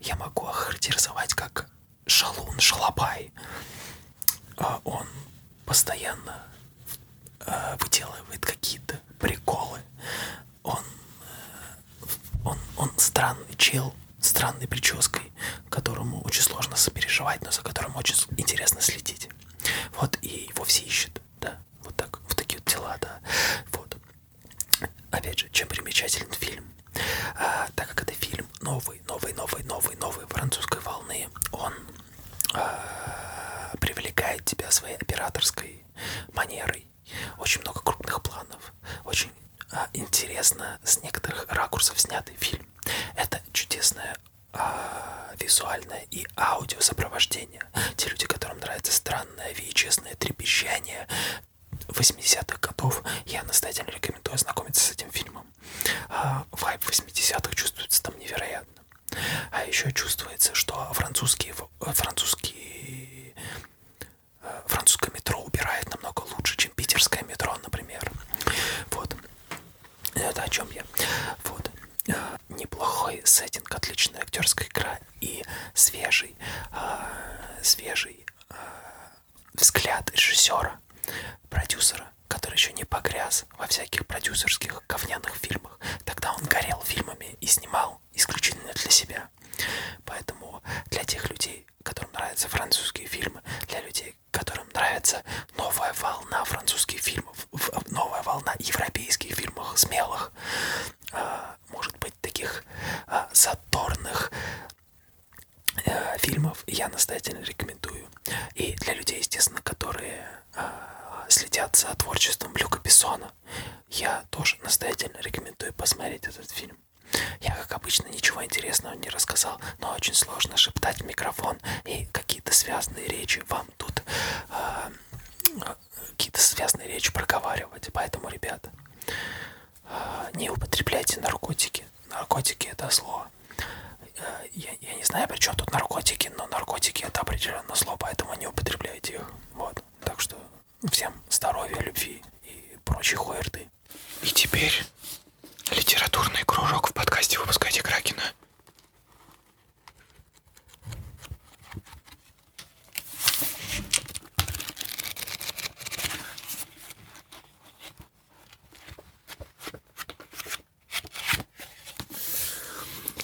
я могу охарактеризовать как шалун, шалопай. А, он постоянно а, выделывает какие-то приколы. Он, э, он, он странный чел, странной прической, которому очень сложно сопереживать, но за которым очень интересно следить месте. Вот, и его все ищут, да, вот так, вот такие вот дела, да, вот. Опять же, чем примечателен фильм, а, так как это фильм новый, новый, новый, новый, новый французской волны, он а, привлекает тебя своей операторской манерой, очень много крупных планов, очень а, интересно с некоторых ракурсов снятый фильм. Это чудесная а, визуальное и аудио сопровождение. Те люди, которым нравится странное веечестное трепещание 80-х годов, я настоятельно рекомендую ознакомиться с этим фильмом. А, вайб 80-х чувствуется там невероятно. А еще чувствуется, что французские, французские э, французское метро убирает намного лучше, чем питерское метро, например. Вот. Это о чем я. Вот. А, неплохой сеттинг, отличная актерская игра и свежий, э, свежий э, взгляд режиссера, продюсера, который еще не погряз во всяких продюсерских говняных фильмах. Тогда он горел фильмами и снимал исключительно для себя. Поэтому для тех людей, которым нравятся французские фильмы, для людей, которым нравятся новая волна французских фильмов, новая волна европейских фильмов смелых, э, может быть, таких э, задорных э, фильмов я настоятельно рекомендую. И для людей, естественно, которые следят за творчеством Люка Бессона, я тоже настоятельно рекомендую посмотреть этот фильм. Я, как обычно, ничего интересного не рассказал, но очень сложно шептать в микрофон и какие-то связанные речи вам там тут э, какие-то связанные речи проговаривать. Поэтому, ребята, э, не употребляйте наркотики. Наркотики это зло. Э, я, я не знаю, при чем тут наркотики, но наркотики это определенно зло, поэтому не употребляйте их. Вот. Так что всем здоровья, любви и прочей хуерды. И теперь литературный кружок в подкасте «Выпускайте Кракена».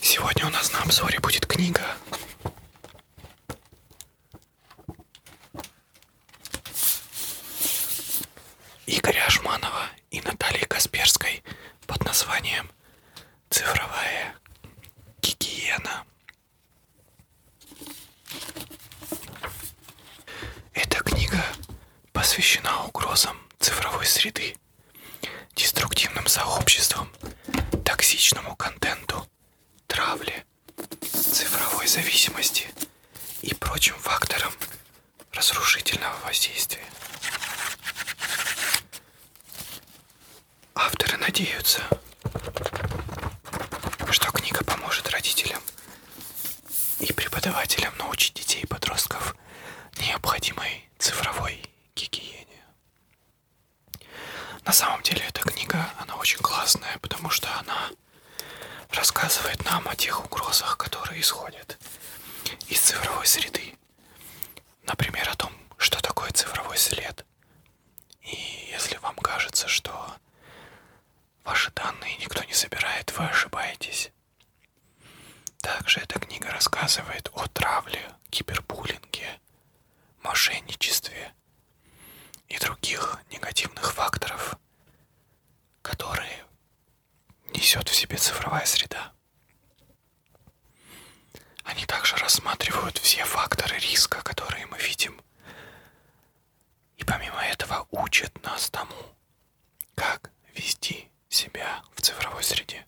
Сегодня у нас на обзоре будет книга. Игоря Ашманова и Натальи Касперской под названием «Цифровая гигиена». Эта книга посвящена угрозам цифровой среды, деструктивным сообществам, токсичному контенту, травле, цифровой зависимости и прочим факторам разрушительного воздействия. Авторы надеются, что книга поможет родителям и преподавателям научить детей и подростков необходимой цифровой гигиене. На самом деле эта книга, она очень классная, потому что она рассказывает нам о тех угрозах, которые исходят из цифровой среды. Например, о том, что такое цифровой след. И если вам кажется, что ваши данные никто не собирает, вы ошибаетесь. Также эта книга рассказывает о травле, кибербуллинге, мошенничестве и других негативных факторов, которые несет в себе цифровая среда. Они также рассматривают все факторы риска, которые мы видим, и помимо этого учат нас тому, как вести себя в цифровой среде.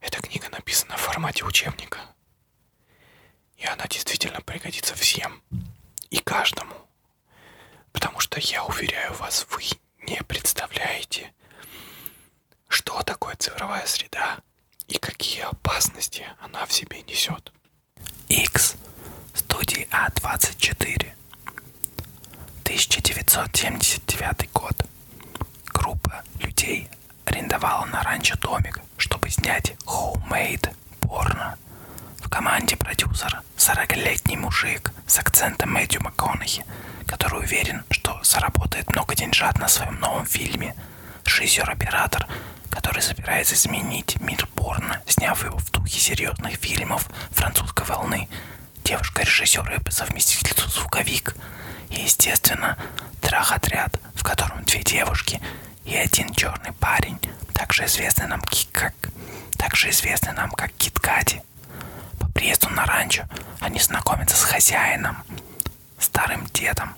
Эта книга написана в формате учебника, и она действительно пригодится всем и каждому, потому что я уверяю вас, вы не представляете, что такое цифровая среда и какие опасности она в себе несет. X студии А24 1979 год. Группа людей арендовала на ранчо домик, чтобы снять homemade порно. В команде продюсера 40-летний мужик, с акцентом Мэтью МакКонахи, который уверен, что заработает много деньжат на своем новом фильме. Режиссер-оператор, который собирается изменить мир порно, сняв его в духе серьезных фильмов французской волны. Девушка-режиссер и по совместительству звуковик. И, естественно, трах-отряд, в котором две девушки и один черный парень, также известный нам как также известный нам как Кит Кати, по приезду на ранчо они знакомятся с хозяином, старым дедом,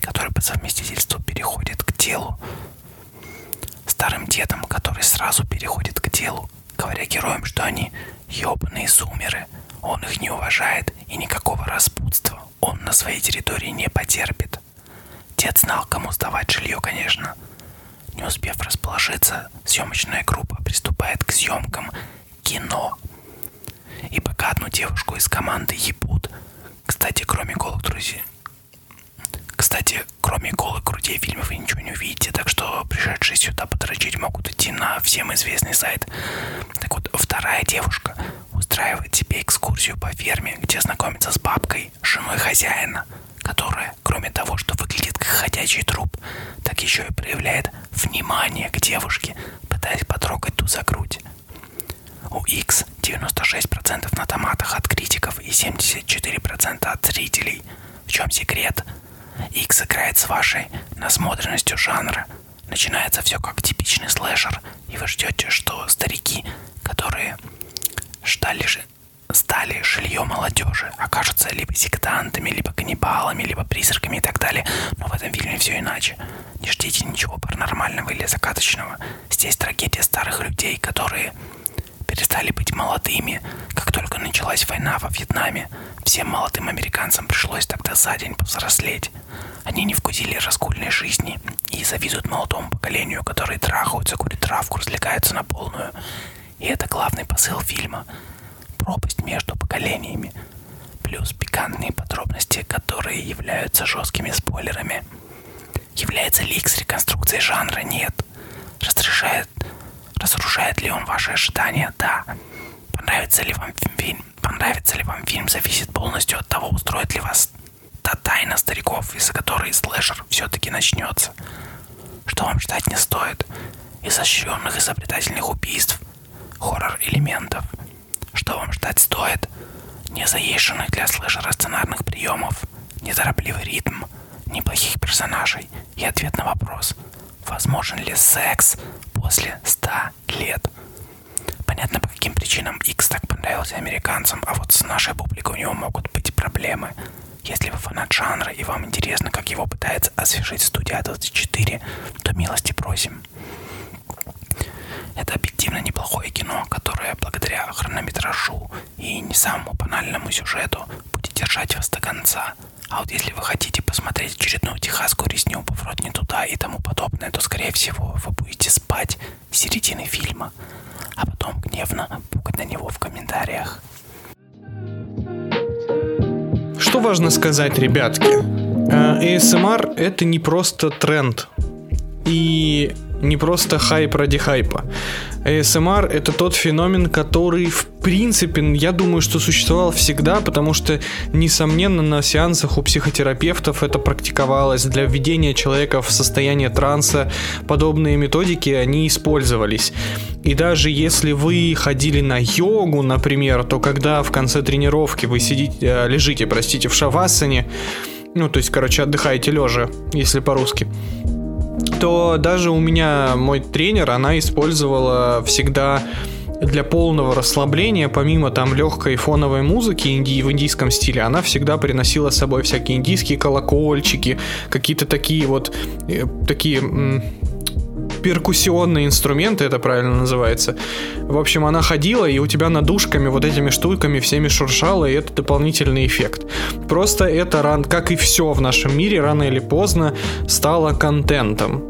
который по совместительству переходит к делу. Старым дедом, который сразу переходит к делу, говоря героям, что они ебаные сумеры, он их не уважает и никакого распутства он на своей территории не потерпит. Дед знал, кому сдавать жилье, конечно. Не успев расположиться, съемочная группа приступает к съемкам кино. И пока одну девушку из команды ебут, кстати, кроме голых друзей, кстати, кроме голых грудей фильмов вы ничего не увидите, так что пришедшие сюда подрочить могут идти на всем известный сайт. Так вот, вторая девушка устраивает себе экскурсию по ферме, где знакомится с бабкой, женой хозяина, которая, кроме того, что выглядит как ходячий труп, так еще и проявляет внимание к девушке, пытаясь потрогать ту за грудь. У X 96% на томатах от критиков и 74% от зрителей. В чем секрет? X играет с вашей насмотренностью жанра. Начинается все как типичный слэшер, и вы ждете, что старики, которые стали, стали жилье молодежи, тоже окажутся либо сектантами, либо каннибалами, либо призраками и так далее. Но в этом фильме все иначе. Не ждите ничего паранормального или закаточного. Здесь трагедия старых людей, которые перестали быть молодыми, как только началась война во Вьетнаме. Всем молодым американцам пришлось тогда за день повзрослеть. Они не вкусили раскольной жизни и завидуют молодому поколению, которые трахаются, курят травку, развлекаются на полную. И это главный посыл фильма. Пропасть между поколениями. Плюс пикантные подробности, которые являются жесткими спойлерами. Является ли X реконструкцией жанра? Нет. Разрушает, разрушает ли он ваши ожидания? Да. Понравится ли вам фильм? Понравится ли вам фильм зависит полностью от того, устроит ли вас та тайна стариков, из-за которой слэшер все-таки начнется. Что вам ждать не стоит? Изощренных изобретательных убийств – хоррор-элементов. Что вам ждать стоит? Незаезженных для слэшера сценарных приемов, неторопливый ритм, неплохих персонажей и ответ на вопрос, возможен ли секс после 100 лет. Понятно, по каким причинам X так понравился американцам, а вот с нашей публикой у него могут быть проблемы. Если вы фанат жанра и вам интересно, как его пытается освежить студия 24, то милости просим. Это объективно неплохое кино, которое благодаря хронометражу и не самому банальному сюжету будет держать вас до конца. А вот если вы хотите посмотреть очередную техасскую резню, поворот не туда и тому подобное, то, скорее всего, вы будете спать с середины фильма, а потом гневно пукать на него в комментариях. Что важно сказать, ребятки? Э, ASMR — это не просто тренд и не просто хайп ради хайпа. ASMR — это тот феномен, который, в принципе, я думаю, что существовал всегда, потому что, несомненно, на сеансах у психотерапевтов это практиковалось. Для введения человека в состояние транса подобные методики, они использовались. И даже если вы ходили на йогу, например, то когда в конце тренировки вы сидите, э, лежите, простите, в шавасане, ну, то есть, короче, отдыхаете лежа, если по-русски, то даже у меня мой тренер, она использовала всегда для полного расслабления, помимо там легкой фоновой музыки инди в индийском стиле, она всегда приносила с собой всякие индийские колокольчики, какие-то такие вот, э, такие перкуссионные инструменты, это правильно называется. В общем, она ходила, и у тебя надушками, вот этими штуками всеми шуршала, и это дополнительный эффект. Просто это, ран, как и все в нашем мире, рано или поздно стало контентом.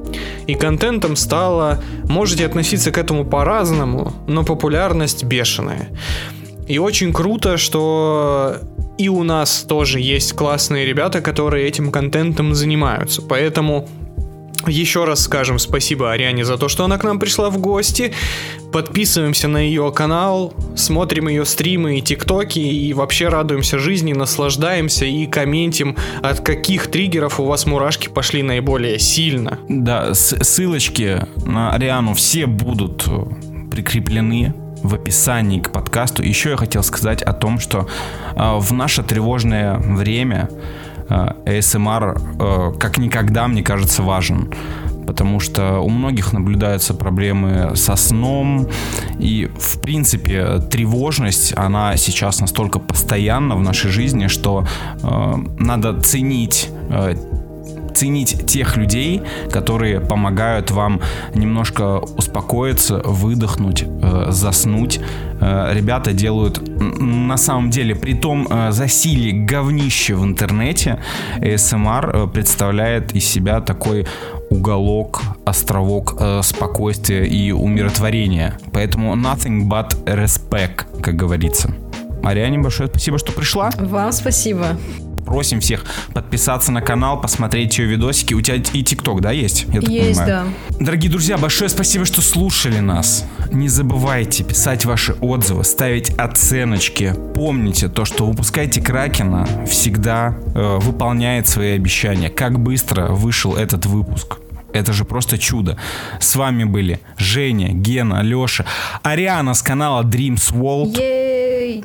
И контентом стало... Можете относиться к этому по-разному, но популярность бешеная. И очень круто, что и у нас тоже есть классные ребята, которые этим контентом занимаются остаются. Поэтому еще раз скажем спасибо Ариане за то, что она к нам пришла в гости. Подписываемся на ее канал, смотрим ее стримы и тиктоки, и вообще радуемся жизни, наслаждаемся и комментим, от каких триггеров у вас мурашки пошли наиболее сильно. Да, ссылочки на Ариану все будут прикреплены в описании к подкасту. Еще я хотел сказать о том, что а, в наше тревожное время а, ASMR а, как никогда, мне кажется, важен. Потому что у многих наблюдаются проблемы со сном. И, в принципе, тревожность, она сейчас настолько постоянна в нашей жизни, что э, надо ценить э, ценить тех людей, которые помогают вам немножко успокоиться, выдохнуть, э, заснуть. Э, ребята делают на самом деле, при том э, засиле говнище в интернете, ASMR эм представляет из себя такой уголок, островок э, спокойствия и умиротворения. Поэтому nothing but respect, как говорится. Ариане большое спасибо, что пришла. Вам спасибо. Просим всех подписаться на канал, посмотреть ее видосики. У тебя и ТикТок, да, есть? Я так есть, понимаю. Дорогие друзья, большое спасибо, что слушали нас. Не забывайте писать ваши отзывы, ставить оценочки. Помните то, что выпускайте Кракена всегда э, выполняет свои обещания. Как быстро вышел этот выпуск. Это же просто чудо. С вами были Женя, Гена, Леша, Ариана с канала Dreams World.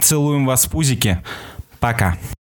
Целуем вас в пузики. Пока.